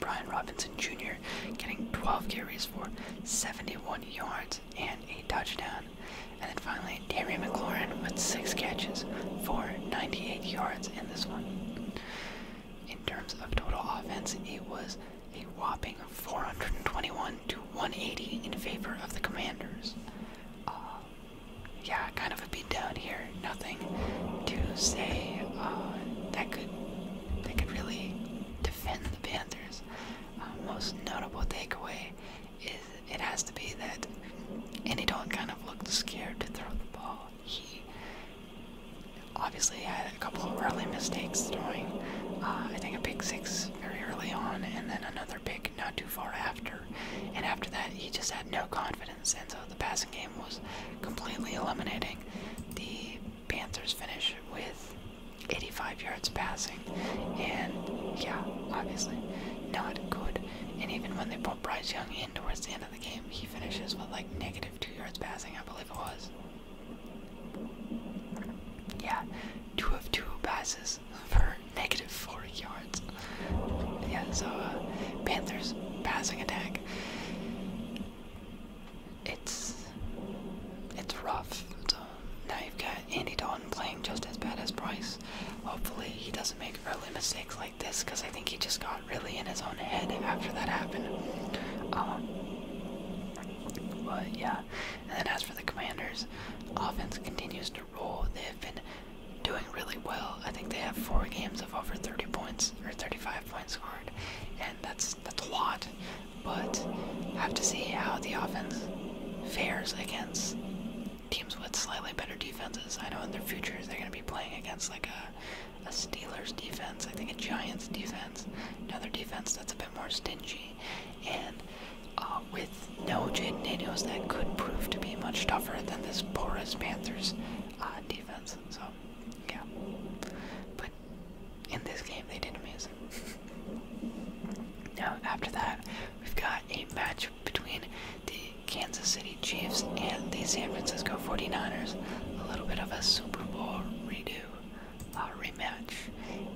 Speaker 1: Brian Robinson Jr. getting 12 carries for 71 yards and a touchdown. And then finally, Terry McLaurin with six catches for 98 yards in this one. In terms of total offense, it was a whopping 421 to 180 in favor of the Commanders. Uh, yeah, kind of a beat down here. Nothing to say uh, that could that could really defend the Panthers. Uh, most notable takeaway is it has to be that Andy Dalton kind of looked scared to throw the ball. He obviously had a couple of early mistakes throwing, uh, I think a pick six very early on, and then another pick not too far after. And after that, he just had no confidence, and so the passing game was completely eliminating. The Panthers finish with 85 yards passing, and yeah, obviously not good. And even when they brought Bryce Young in towards the end of the game, he finishes with like negative two yards passing, I believe it was. Yeah, two of two passes for negative four yards. Yeah, so uh, Panthers passing attack. It's it's rough. So now you've got Andy Dalton playing just as bad as Price. Hopefully he doesn't make early mistakes like this because I think he just got really in his own head after that happened. Um, but yeah, and then as for the Commanders, offense continues to roll. They have been doing really well. I think they have four games of over 30 points or 35 points scored, and that's that's a lot. But have to see how the offense fares against teams with slightly better defenses. I know in their future they're going to be playing against like a, a Steelers defense, I think a Giants defense, another defense that's a bit more stingy, and uh, with no Jade Nados, that could prove to be much tougher than this porous Panthers uh, defense. So, yeah. But in this game, they did amazing. now, after that, we've got a match between the Kansas City Chiefs and the San Francisco 49ers. A little bit of a Super Bowl redo uh, rematch.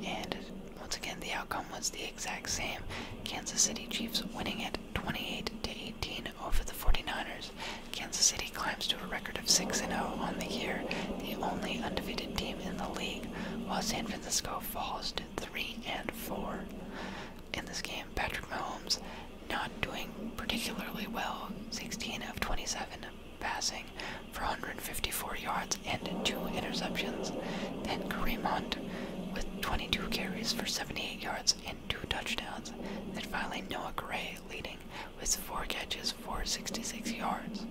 Speaker 1: And once again, the outcome was the exact same. Kansas City Chiefs winning it 28 to 18 over the 49ers. Kansas City climbs to a record of 6 0 on the year, the only undefeated team in the league, while San Francisco falls to 3 and 4. In this game, Patrick Mahomes not doing particularly well, 16 of 27, passing for 154 yards and two interceptions. Then Kareem Hunt with 22 carries for 78 yards and two touchdowns. Then finally Noah Gray leading with four catches for 66 yards.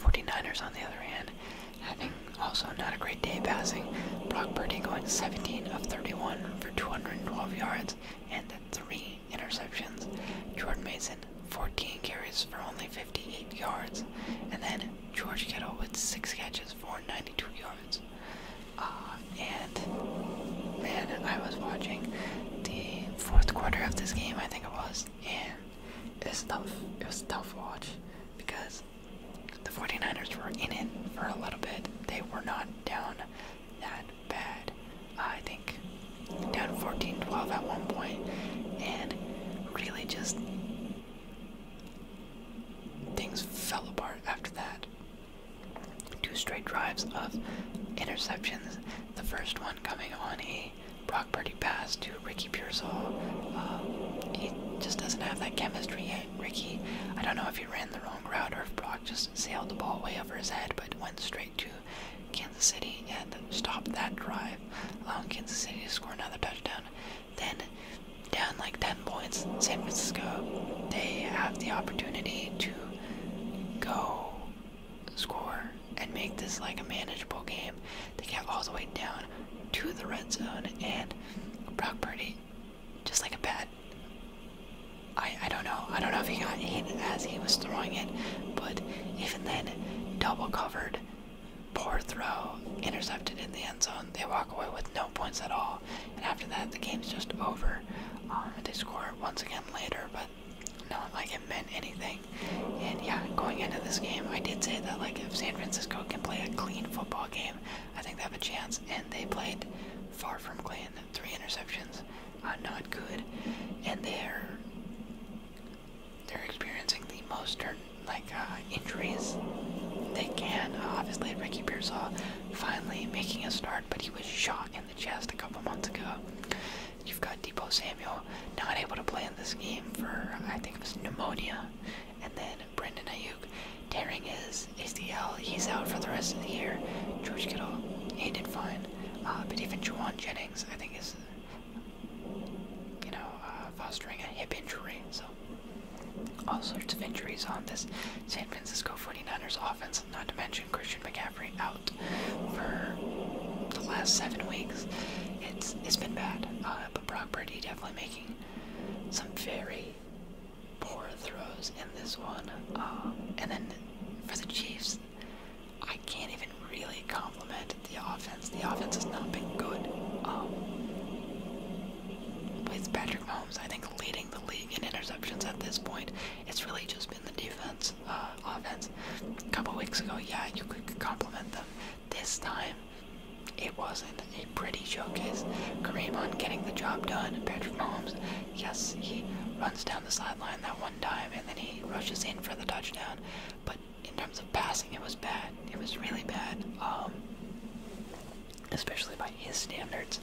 Speaker 1: 49ers on the other hand, also not a great day passing. Brock Purdy going 17 of 31 for 212 yards and three interceptions. Jordan Mason, 14 carries for only 58 yards. And then George Kittle with six catches for 92 yards. Uh, and man, I was watching the fourth quarter of this game, I think it was, and it was tough. It was a tough watch because the 49ers were in it for a little bit. They were not down that bad. I think down 14 12 at one point, and really just things fell apart after that. Two straight drives of interceptions. The first one coming on a Brock Purdy pass to Ricky Pearsall. Uh, he just doesn't have that chemistry yet. Ricky, I don't know if he ran the wrong route or if Brock just sailed the ball way over his head, but went straight to Kansas City and stop that drive, allowing um, Kansas City to score another touchdown. Then, down like 10 points, San Francisco, they have the opportunity to go score and make this like a manageable game. They get all the way down to the red zone, and Brock Purdy, just like a bad. I, I don't know. I don't know if he got hit as he was throwing it, but even then, double covered, poor throw, intercepted in the end zone. They walk away with no points at all. And after that, the game's just over. Um, they score once again later, but not like it meant anything. And yeah, going into this game, I did say that like if San Francisco can play a clean football game, I think they have a chance. And they played far from clean. Three interceptions, uh, not good. And they're they're experiencing the most er, like uh, injuries they can. Uh, obviously, Ricky Pearsall finally making a start, but he was shot in the chest a couple months ago. You've got Depot Samuel not able to play in this game for I think it was pneumonia, and then Brendan Ayuk tearing his ACL. He's out for the rest of the year. George Kittle, he did fine, uh, but even Juwan Jennings I think is you know, uh, fostering a hip injury. So, all sorts of injuries on this San Francisco 49ers offense, not to mention Christian McCaffrey out for the last seven weeks. It's It's been bad, uh, but Brock Purdy definitely making some very poor throws in this one. Um, and then for the Chiefs, I can't even really compliment the offense. The offense has not been good. Um, with Patrick Mahomes, I think leading the league in interceptions at this point, it's really just been the defense, uh, offense. A couple weeks ago, yeah, you could compliment them. This time, it wasn't a pretty showcase. Kareem on getting the job done. Patrick Mahomes, yes, he runs down the sideline that one time and then he rushes in for the touchdown. But in terms of passing, it was bad. It was really bad, um, especially by his standards.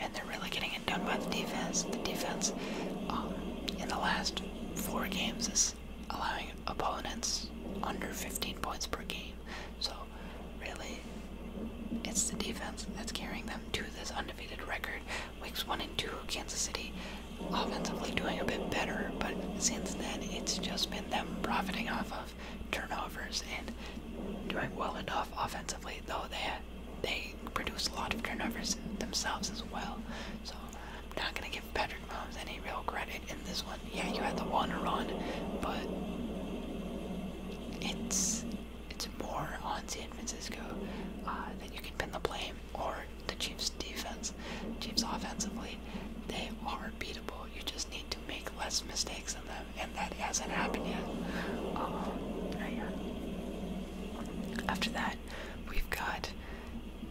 Speaker 1: And they're really getting it done by the defense. The defense um, in the last four games is allowing opponents under 15 points per game. So really, it's the defense that's carrying them to this undefeated record. Weeks 1 and 2, Kansas City offensively doing a bit better, but since then it's just been them profiting off of turnovers and doing well enough offensively, though they they produce a lot of turnovers themselves as well. So I'm not gonna give Patrick Mahomes any real credit in this one. Yeah, you had the one run, but it's it's more on San Francisco uh, that you can pin the blame or the Chiefs defense, Chiefs offensively, they are beatable. You just need to make less mistakes in them, and that hasn't happened yet. Um, After that, we've got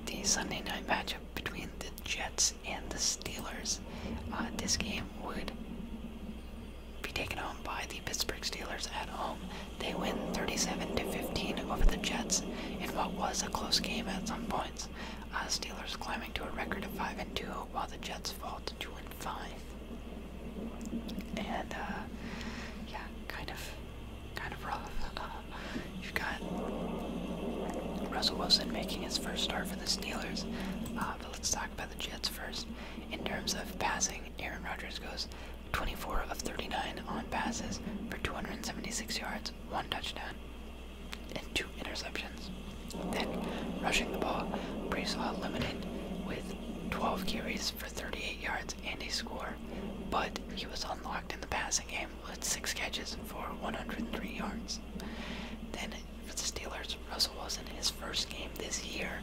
Speaker 1: the Sunday night matchup between the Jets and the Steelers. Uh, this game would be taken home by the Pittsburgh Steelers at home. They win 37 to 15 over the Jets in what was a close game at some points. Uh, Steelers climbing to a record of 5 and 2, while the Jets fall to 2 and 5. And uh, yeah, kind of, kind of rough. Uh, you've got Russell Wilson making his first start for the Steelers, uh, but let's talk about the Jets first. In terms of passing, Aaron Rodgers goes 24 of 39 on passes for 276 yards, one touchdown, and two interceptions. Then, rushing the ball, Breesaw limited with 12 carries for 38 yards and a score, but he was unlocked in the passing game with six catches for 103 yards. Then, for the Steelers, Russell Wilson, his first game this year,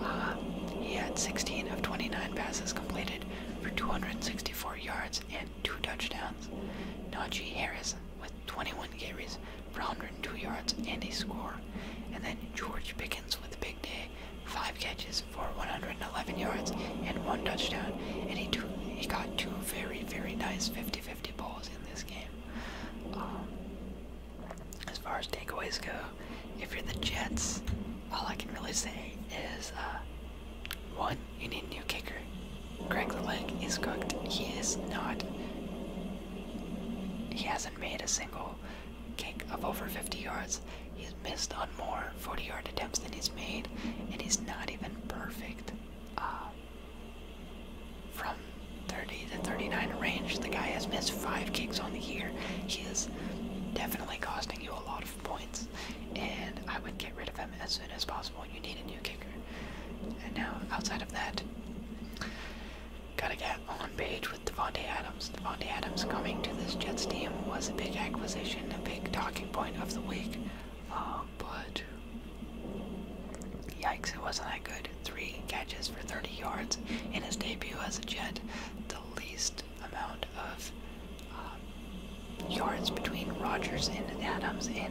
Speaker 1: uh, he had 16 of 29 passes completed for 264 yards and two touchdowns. Najee Harris with 21 carries for 102 yards and a score. And then George Pickens with a big day, five catches for 111 yards and one touchdown. And he, he got two very, very nice 50-50 balls in this game. Um, as far as takeaways go, if you're the Jets, all I can really say is uh, one, you need a new kicker. Greg the Leg is cooked. He is not. He hasn't made a single kick of over 50 yards. He's missed on more 40 yard attempts than he's made, and he's not even perfect. Uh, from 30 to 39 range, the guy has missed five kicks on the year. He is definitely costing you a lot of points, and I would get rid of him as soon as possible. You need a new kicker. And now, outside of that, gotta get on page with Devonte Adams. Devonte Adams coming to this Jets team was a big acquisition, a big talking point of the week. Um, but yikes, it wasn't that good. Three catches for 30 yards in his debut as a Jet. The least amount of um, yards between Rogers and Adams in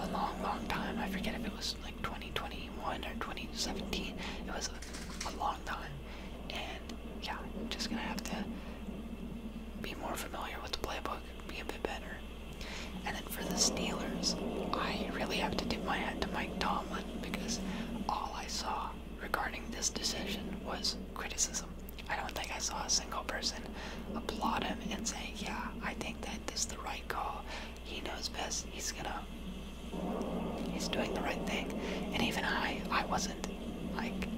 Speaker 1: a long, long time. I forget if it was like 2021 or 2017. It was a, a long time. And yeah, I'm just gonna have to be more familiar with the playbook, be a bit better. And then for the Steelers, I really have to tip my hat to Mike Tomlin because all I saw regarding this decision was criticism. I don't think I saw a single person applaud him and say, yeah, I think that this is the right call. He knows best. He's gonna, he's doing the right thing. And even I, I wasn't like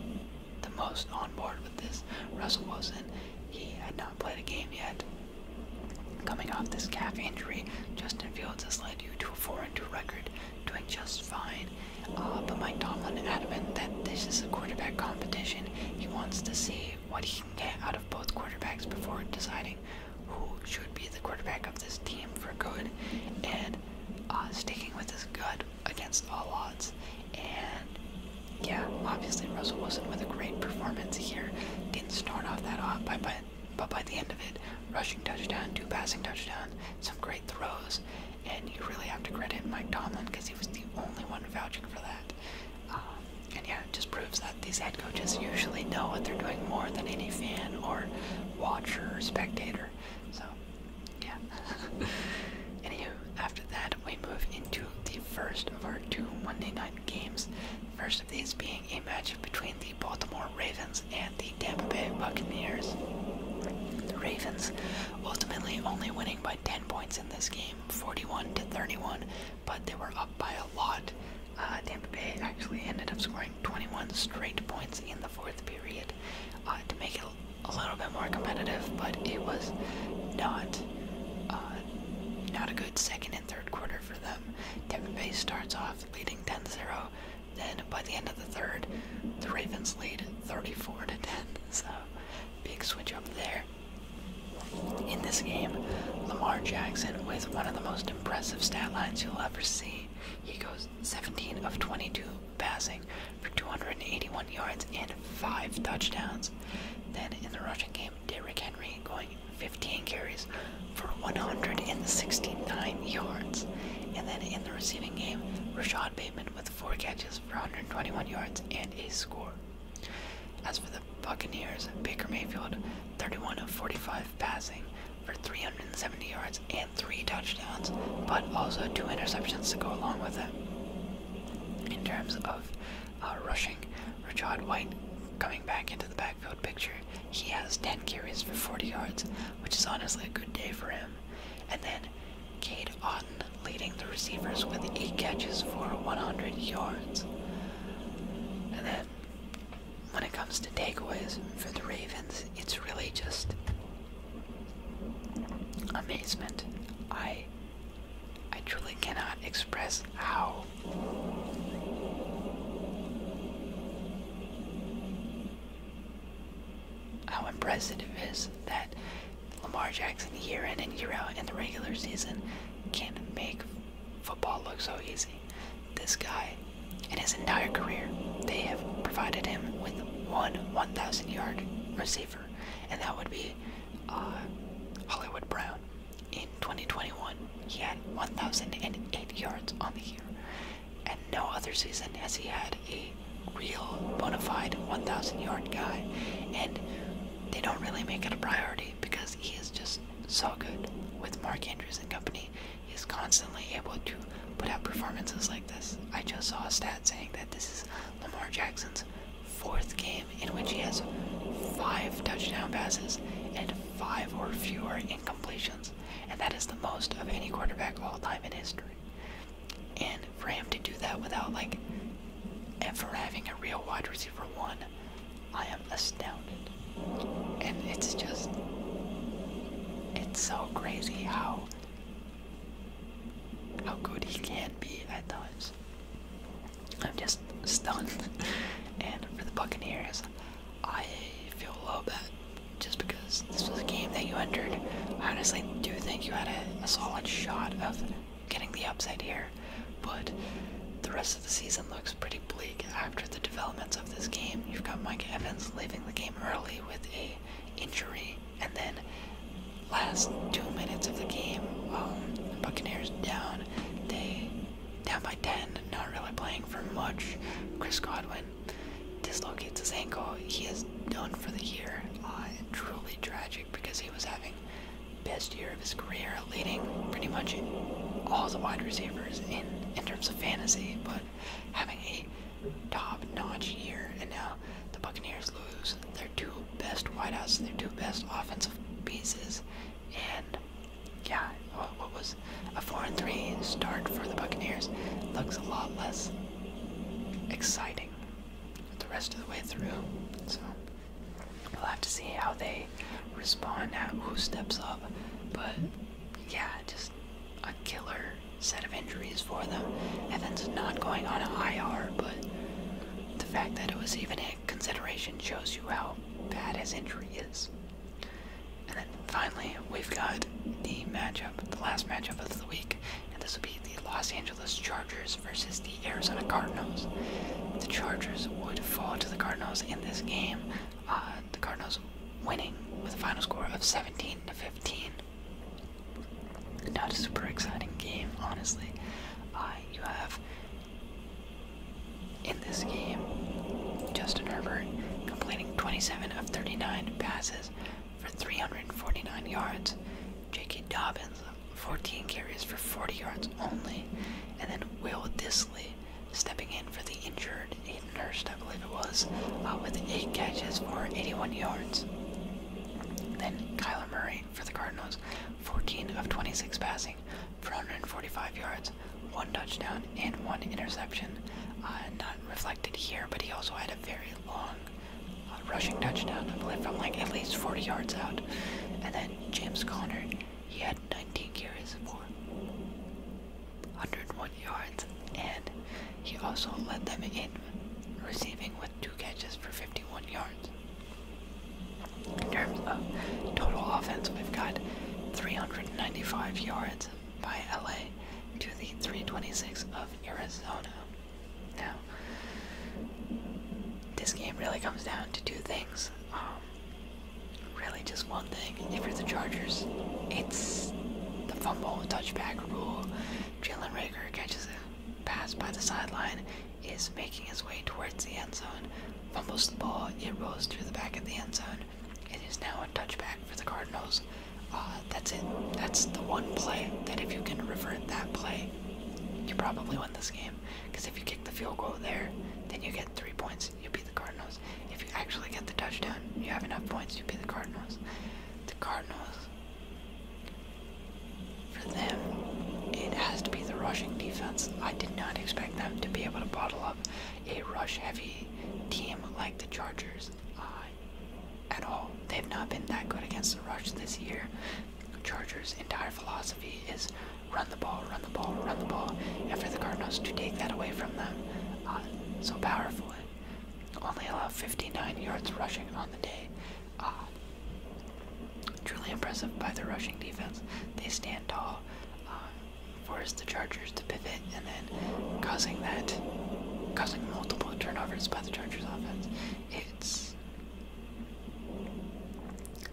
Speaker 1: the most on board with this. Russell Wilson, he had not played a game yet. Coming off this calf injury, Justin Fields has led you to a 4-2 record, doing just fine. Uh, but Mike Tomlin adamant that this is a quarterback competition. He wants to see what he can get out of both quarterbacks before deciding who should be the quarterback of this team for good. And uh, sticking with his gut against all odds. And yeah, obviously Russell Wilson with a great performance here. Didn't start off that hot, but by, but by the end of it, rushing touchdown, two passing touchdown, some great throws, and you really have to credit Mike Tomlin because he was the only one vouching for that. Um, and yeah, it just proves that these head coaches usually know what they're doing more than any fan or watcher or spectator. So, yeah. Anywho, after that, we move into the first of our two Monday night games. First of these being a match between the Baltimore Ravens and the Tampa Bay Buccaneers. The Ravens ultimately only winning by 10 points in this game, 41 to 31, but they were up by a lot. Uh, Tampa Bay actually ended up scoring 21 straight points in the fourth period uh, to make it a little bit more competitive, but it was not uh, not a good second and third quarter for them. Tampa Bay starts off leading 10-0, then by the end of the third, the Ravens lead 34 to 10. So big switch up there. In this game, Lamar Jackson with one of the most impressive stat lines you'll ever see. He goes 17 of 22 passing for 281 yards and 5 touchdowns. Then in the rushing game, Derrick Henry going 15 carries for 169 yards. And then in the receiving game, Rashad Bateman with 4 catches for 121 yards and a score. As for the Buccaneers, Baker Mayfield, 31 of 45 passing for 370 yards and three touchdowns, but also two interceptions to go along with it. In terms of uh, rushing, Rashad White coming back into the backfield picture, he has 10 carries for 40 yards, which is honestly a good day for him. And then side. Cade Otten leading the receivers with eight catches for 100 yards. And then when it comes to takeaways for the Ravens, it's really just amazement. I I truly cannot express how how impressive it is that Lamar Jackson year in and year out in the regular season can make football look so easy. This guy, in his entire career, they have provided him with one 1,000 yard receiver, and that would be uh, Hollywood Brown. In 2021, he had 1,008 yards on the year, and no other season has he had a real bona fide 1,000 yard guy, and they don't really make it a priority because he is just so good with Mark Andrews and company. He is constantly able to put out performances like this. I just saw a stat saying that this is Lamar Jackson's fourth game in which he has five touchdown passes and five or fewer incompletions, and that is the most of any quarterback of all time in history. And for him to do that without like ever having a real wide receiver one, I am astounded. And it's just it's so crazy how how good he can be at times. I'm just stunned. and for the Buccaneers, I feel a little bit just because this was a game that you entered. honestly do think you had a a solid shot of getting the upside here, but the rest of the season looks pretty bleak after the developments of this game. You've got Mike Evans leaving the game early with a injury, and then last two minutes of the game, um, Buccaneers down. They down by 10, not really playing for much. Chris Godwin dislocates his ankle. He is done for the year truly tragic because he was having best year of his career, leading pretty much all the wide receivers in in terms of fantasy, but having a top-notch year. And now the Buccaneers lose their two best wideouts, their two best offensive pieces, and yeah, what, what was a four and three start for the Buccaneers looks a lot less exciting the rest of the way through. So we'll have to see how they respond, who steps up. But yeah, just a killer set of injuries for them. Evans not going on IR, but the fact that it was even a consideration shows you how bad his injury is. And then finally, we've got the matchup, the last matchup of the week and this will be the Los Angeles Chargers versus the Arizona Cardinals. The Chargers would fall to the Cardinals in this game. Uh, the Cardinals winning with a final score of 17 to 15. Not a super exciting game, honestly. Uh, you have in this game Justin Herbert completing 27 of 39 passes for 349 yards J.K. Dobbins, 14 carries for 40 yards only. And then Will Disley stepping in for the injured Aiden Hurst, I believe it was, uh, with 8 catches for 81 yards. Then Kyler Murray for the Cardinals, 14 of 26 passing 445 yards, 1 touchdown, and 1 interception. Uh, not reflected here, but he also had a very long a rushing touchdown, I believe, from like at least 40 yards out. And then James Conner, he had 19 carries for 101 yards, and he also led them in receiving with two catches for 51 yards. In terms of total offense, we've got 395 yards by LA to the 326 of Arizona. Now, this game really comes down to two things. Um, really, just one thing. If you're the Chargers, it's the fumble touchback rule. Jalen Rager catches a pass by the sideline, is making his way towards the end zone, fumbles the ball, it rolls through the back of the end zone. It is now a touchback for the Cardinals. Uh, that's it. That's the one play that if you can revert that play, you probably win this game. Because if you kick the field goal there, then you get three points. You beat the Cardinals. If you actually get the touchdown, you have enough points. You beat the Cardinals. The Cardinals. For them, it has to be the rushing defense. I did not expect them to be able to bottle up a rush-heavy team like the Chargers at all. They've not been that good against the rush this year. Chargers' entire philosophy is run the ball, run the ball, run the ball, After the Cardinals to take that away from them uh, so powerfully. Only allow 59 yards rushing on the day. Uh, truly impressive by the rushing defense. They stand tall, uh, force the Chargers to pivot, and then causing that, causing multiple turnovers by the Chargers offense. It's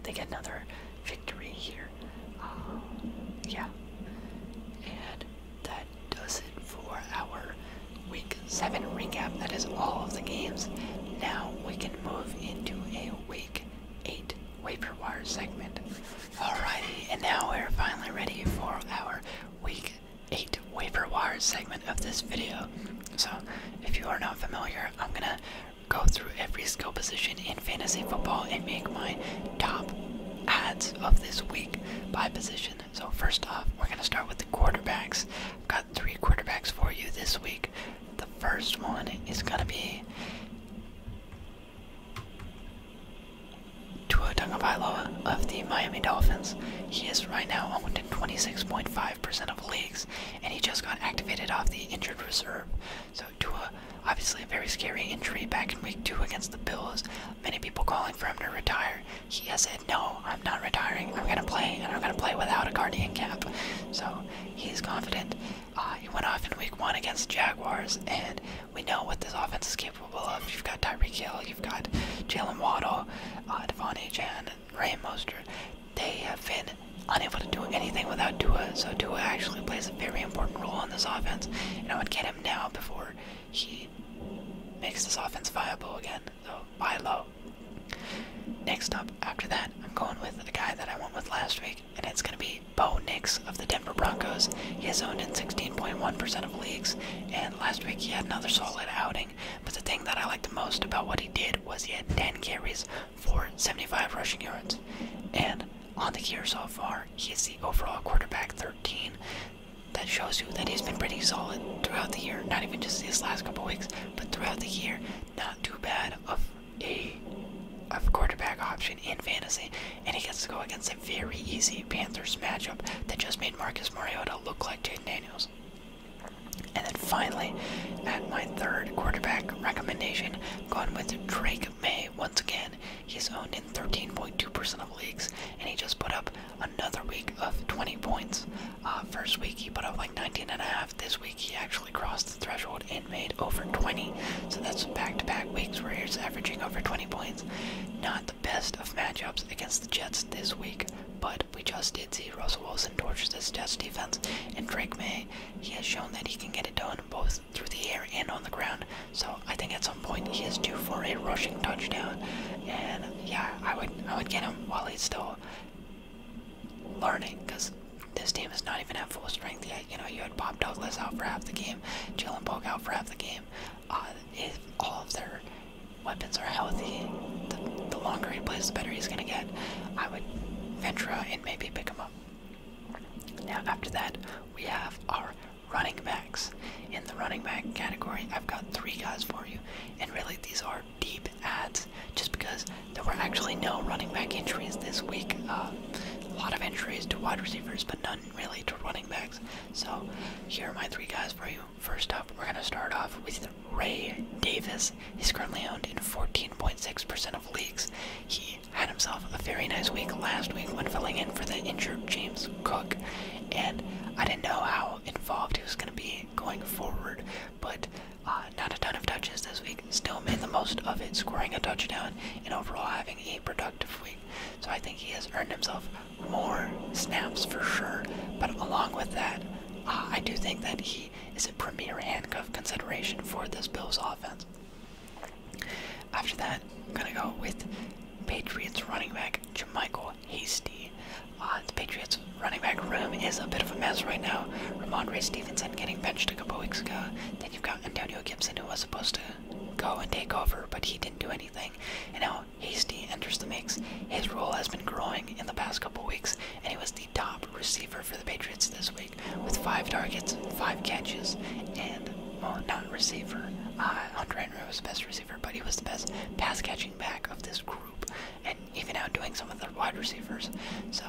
Speaker 1: they get another victory here. Uh, yeah. And that does it for our week 7 recap. That is all of the games. Now we can move into a week 8 waiver wire segment. All righty, and now we're finally ready for our week 8 waiver wire segment of this video. So, if you are not familiar, I'm gonna go through every skill position in fantasy football and make my top ads of this week by position. So, first off, we're gonna start with the quarterbacks. I've got three quarterbacks for you this week. The first one is gonna be Tua Tagovailoa of the Miami Dolphins. He is right now owned in 26.5% of leagues, and he just got activated off the injured reserve. So, Tua, obviously a very scary injury back in week two against the Bills. Many people calling for him to retire. He has said, No, I'm not retiring. I'm going to play, and I'm going to play without a guardian cap. So, he's confident. Uh, he went off in week one against the Jaguars, and we know what this offense is capable of. You've got Tyreek Hill, you've got Jalen Waddle, uh, Devon and Raheem they have been unable to do anything without Dua, So Dua actually plays a very important role on this offense, and I would get him now before he makes this offense viable again. So buy low. Next up, after that, I'm going with the guy that I went with last week, and it's going to be Bo Nix of the Denver Broncos. He is owned in 16.1% of leagues, and last week he had another solid outing. But the thing that I liked the most about what he did was he had 10 carries for 75 rushing yards. And on the year so far, is the overall quarterback 13. That shows you that he's been pretty solid throughout the year, not even just these last couple weeks, but throughout the year, not too bad of a of quarterback option in fantasy, and he gets to go against a very easy Panthers matchup that just made Marcus Mariota look like Jaden Daniels. And then finally, at my third quarterback recommendation, going with Drake May once again. He's owned in 13.2% of leagues, and he just put up another week of 20 points. Uh, first week he put up like 19 and a half. This week he actually crossed the threshold and made over 20. So that's back-to-back -back weeks where he's averaging over 20 points. Not the best of matchups against the Jets this week but we just did see Russell Wilson torches this Jets defense, and Drake May, he has shown that he can get it done both through the air and on the ground. So I think at some point he is due for a rushing touchdown, and yeah, I would I would get him while he's still learning, because this team is not even at full strength yet. You know, you had Bob Douglas out for half the game, Jalen Polk out for half the game. Uh, if all of their weapons are healthy, the, longer he plays, the better he's going to get. I would venture and maybe pick him up. Now, after that, we have our running backs. In the running back category, I've got three guys for you, and really these are deep ads just because there were actually no running back injuries this week. Uh, a lot of injuries to wide receivers, but none really to running backs. So, here are my three guys for you. First up, we're going to start off with Ray Davis. He's currently owned in 14.6% of leagues. He had himself a very nice week last week when filling in for the injured James Cook, and I didn't know how involved he was going to be going forward, but uh, not a ton of touches this week. Still made the most of it, scoring a touchdown and overall having a productive week. So I think he has earned himself more snaps for sure, but along with that, uh, I do think that he is a premier handcuff consideration for this Bills offense. After that, I'm gonna go with Patriots running back Jermichael Hasty. Uh, the Patriots running back room is a bit of a mess right now. Ramondre Stevenson getting benched a couple weeks ago. Then you've got Antonio Gibson who was supposed to go and take over, but he didn't do anything. And now now, Hasty enters the mix. His role has been growing in the past couple weeks, and he was the top receiver for the Patriots this week with five targets, five catches, and, well, not receiver. Uh, Andre Henry was the best receiver, but he was the best pass catching back of this group, and even outdoing some of the wide receivers. So,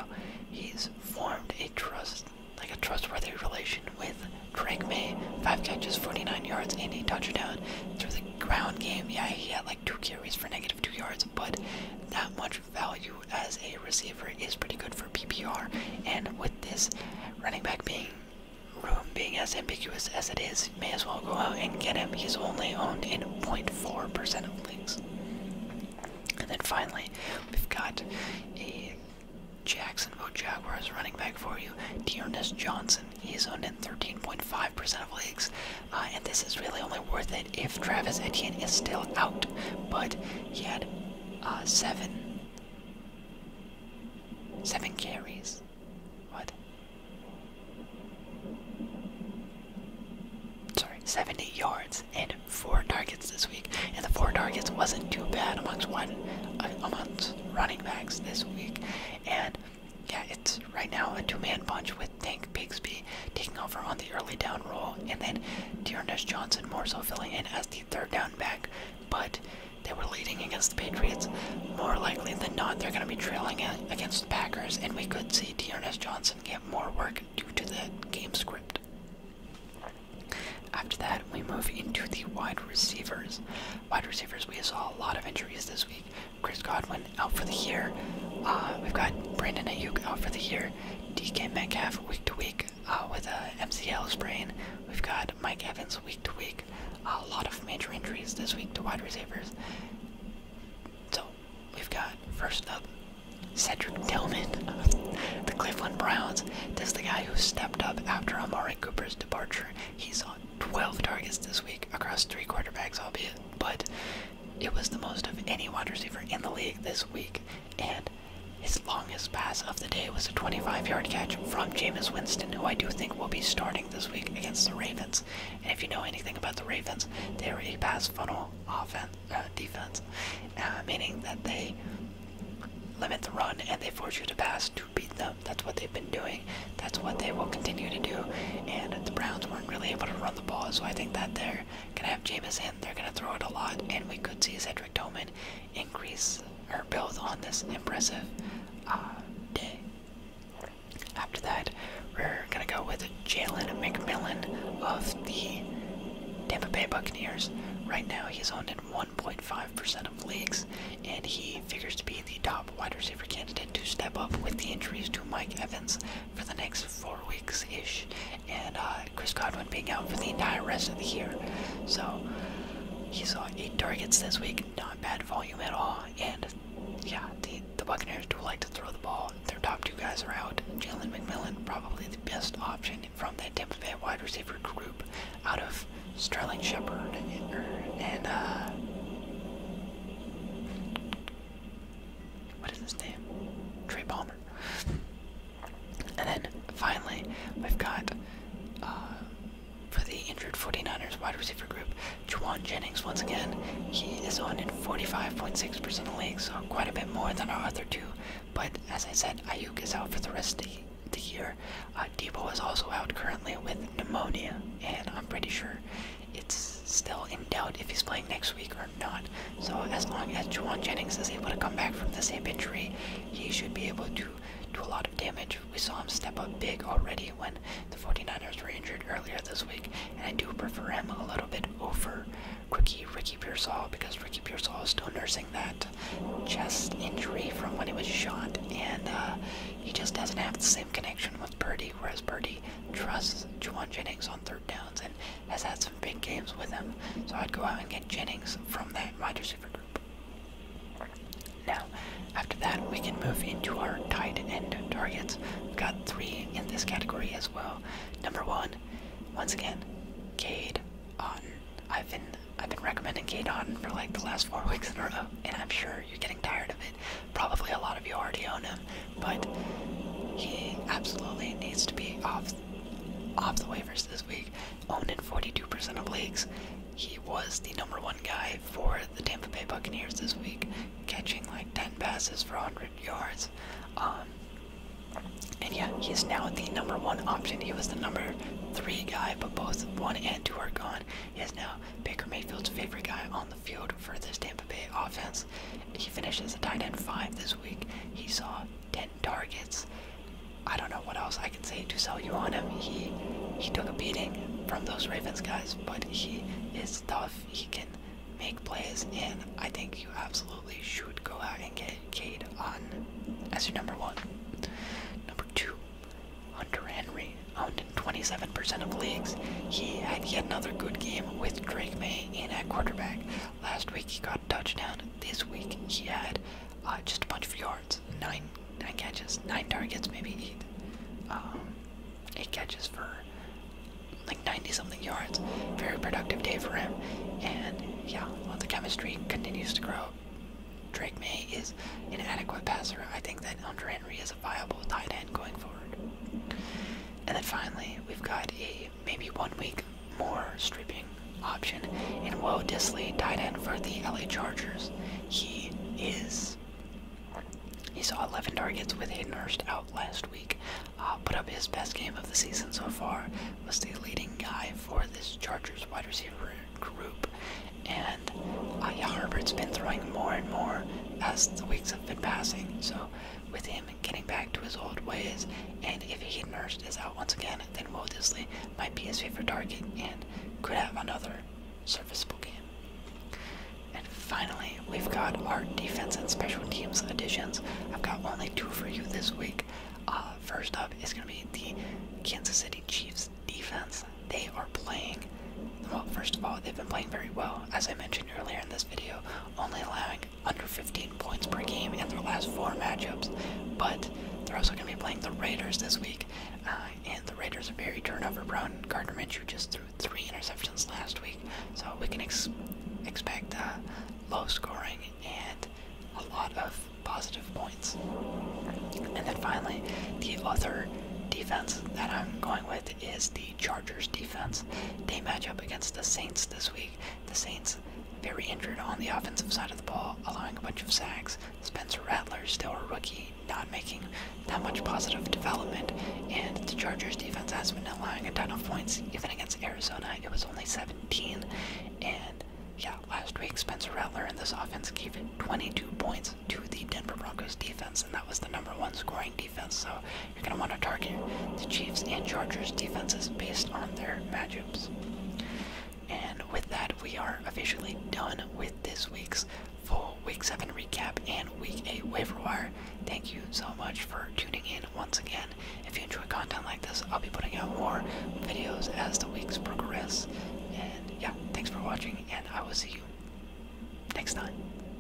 Speaker 1: he's formed a trust, like a trustworthy relation with Drake May. Five catches, 49 yards, and a touchdown through the ground game. Yeah, he had like two carries for negative negative two yards, but that much value as a receiver is pretty good for PPR. And with this running back being room being as ambiguous as it is, may as well go out and get him. He's only owned in 0.4% of leagues. And then finally, we've got a Jacksonville Jaguars running back for you, Dearness Johnson. He's owned in 13.5% of leagues, uh, and this is really only worth it if Travis Etienne is still out. But he had uh, seven, seven carries. What? Sorry, 70 yards and four targets this week, and the four targets wasn't too bad amongst one uh, amongst running backs this week, and yeah, it's right now a two-man punch with Tank Bigsby taking over on the early down role, and then Dearness Johnson more so filling in as the third down back. But they were leading against the Patriots. More likely than not, they're going to be trailing against the Packers, and we could see Dearness Johnson get more work due to the game script. After that, we move into the wide receivers. Wide receivers, we saw a lot of injuries this week. Chris Godwin out for the year. Uh, we've got Brandon Ayuk out for the year. DK Metcalf week to week uh, with a MCL sprain. We've got Mike Evans week to week. a lot of major injuries this week to wide receivers. So we've got first up Cedric Tillman of the Cleveland Browns. This is the guy who stepped up after Amari Cooper's departure. He's on 12 targets this week across three quarterbacks, albeit, but it was the most of any wide receiver in the league this week, and his longest pass of the day was a 25-yard catch from Jameis Winston, who I do think will be starting this week against the Ravens. And if you know anything about the Ravens, they are a pass funnel offense uh, defense, uh, meaning that they limit the run and they force you to pass to beat them. That's what they've been doing that's what they will continue to do. And the Browns weren't really able to run the ball, so I think that they're going to have Jamison. They're going to throw it a lot, and we could see Cedric Tillman increase or build on this impressive uh, day. After that, we're going to go with Jalen McMillan of the Tampa Bay Buccaneers. Right now, he's owned in 1.5% of leagues, and he figures to be the top wide receiver candidate to step up with the injuries to Mike Evans, for the next four weeks ish, and uh, Chris Godwin being out for the entire rest of the year. So he saw eight targets this week, not bad volume at all. And yeah, the, the Buccaneers do like to throw the ball. Their top two guys are out. Jalen McMillan, probably the best option from that depth Bay wide receiver group out of Sterling Shepard and, and uh, what is his name? Trey Palmer. and then finally, we've got uh, for the injured 49ers wide receiver group, Juwan Jennings once again. He is on in 45.6% of the league, so quite a bit more than our other two. But as I said, Ayuk is out for the rest of the year. Uh, Debo is also out currently with pneumonia, and I'm pretty sure it's still in doubt if he's playing next week or not. So as long as Juwan Jennings is able to come back from this hip injury, he should be able to do a lot of damage. We saw him step up big already when the 49ers were injured earlier this week, and I do prefer him a little bit over Ricky. Ricky Pearsall because Ricky Pearsall is still nursing that chest injury from when he was shot, and uh, he just doesn't have the same connection with Purdy, whereas Purdy trusts Juwan Jennings on third downs and has had some big games with him. So I'd go out and get Jennings from that wide receiver group. Now, after that, we can move into our tight end targets. We've got three in this category as well. Number one, once again, Cade Otten. I've been I've been recommending Cade Otten for like the last four weeks in a row, and I'm sure you're getting tired of it. Probably a lot of you already own him, but he absolutely needs to be off off the waivers this week. Owned in 42% of leagues. He was the number one guy for the Tampa Bay Buccaneers this week, catching like 10 passes for 100 yards. Um, and yeah, he's now the number one option. He was the number three guy, but both one and two are gone. He is now Baker Mayfield's favorite guy on the field for this Tampa Bay offense. He finishes as a tight end five this week. He saw 10 targets. I don't know what else I can say to sell you on him. He he took a beating from those Ravens guys, but he is tough. He can make plays, and I think you absolutely should go out and get Cade on as your number one. Number two, Hunter Henry. 27% of leagues. He had yet another good game with Drake May in at quarterback. Last week he got a touchdown. This week he had uh, just a bunch of yards, nine, catches, nine targets, maybe eight, um, eight catches for like 90 something yards. Very productive day for him, and yeah, well, the chemistry continues to grow. Drake May is an adequate passer. I think that Andre he as a viable tight end going forward. And then finally, we've got a maybe one week more stripping option in Woe Disley, tight end for the LA Chargers. He is. He saw 11 targets with a nursed out last week. Uh, put up his best game of the season so far. Was the leading guy for this Chargers wide receiver group. And uh, yeah, Herbert's been throwing more and more as the weeks have been passing. So with him getting back to his old ways, and if he can merge this out once again, then Wildesley might be his favorite target and could have another serviceable game. And finally, we've got our defense and special teams editions. I've got only two for you this week. Uh, first up is going to be the Kansas City Chiefs defense. They are playing, well, first of all, they've been playing very well, as I mentioned earlier in this video, only allowing under 15 points per game in their last four matchups. But they're also going to be playing the Raiders this week, uh, and the Raiders are very turnover prone. Gardner Minshew just threw three interceptions last week, so we can expect uh, low scoring and a lot of positive points. And then finally, the other defense that I'm going with is the Chargers defense. They match up against the Saints this week. The Saints very injured on the offensive side of the ball, allowing a bunch of sacks. Spencer Rattler, still a rookie, not making that much positive development. And the Chargers defense has been allowing a ton of points, even against Arizona. It was only 17. And yeah, last week Spencer Rattler and this offense gave 22 points to the Denver Broncos defense, and that was the number one scoring defense. So you're going to want to target the Chiefs and Chargers defenses based on their matchups. And with that, we are officially done with this week's full Week 7 recap and Week 8 waiver wire. Thank you so much for tuning in once again. If you enjoy content like this, I'll be putting out more videos as the weeks progress. And yeah, thanks for watching, and I will see you next time.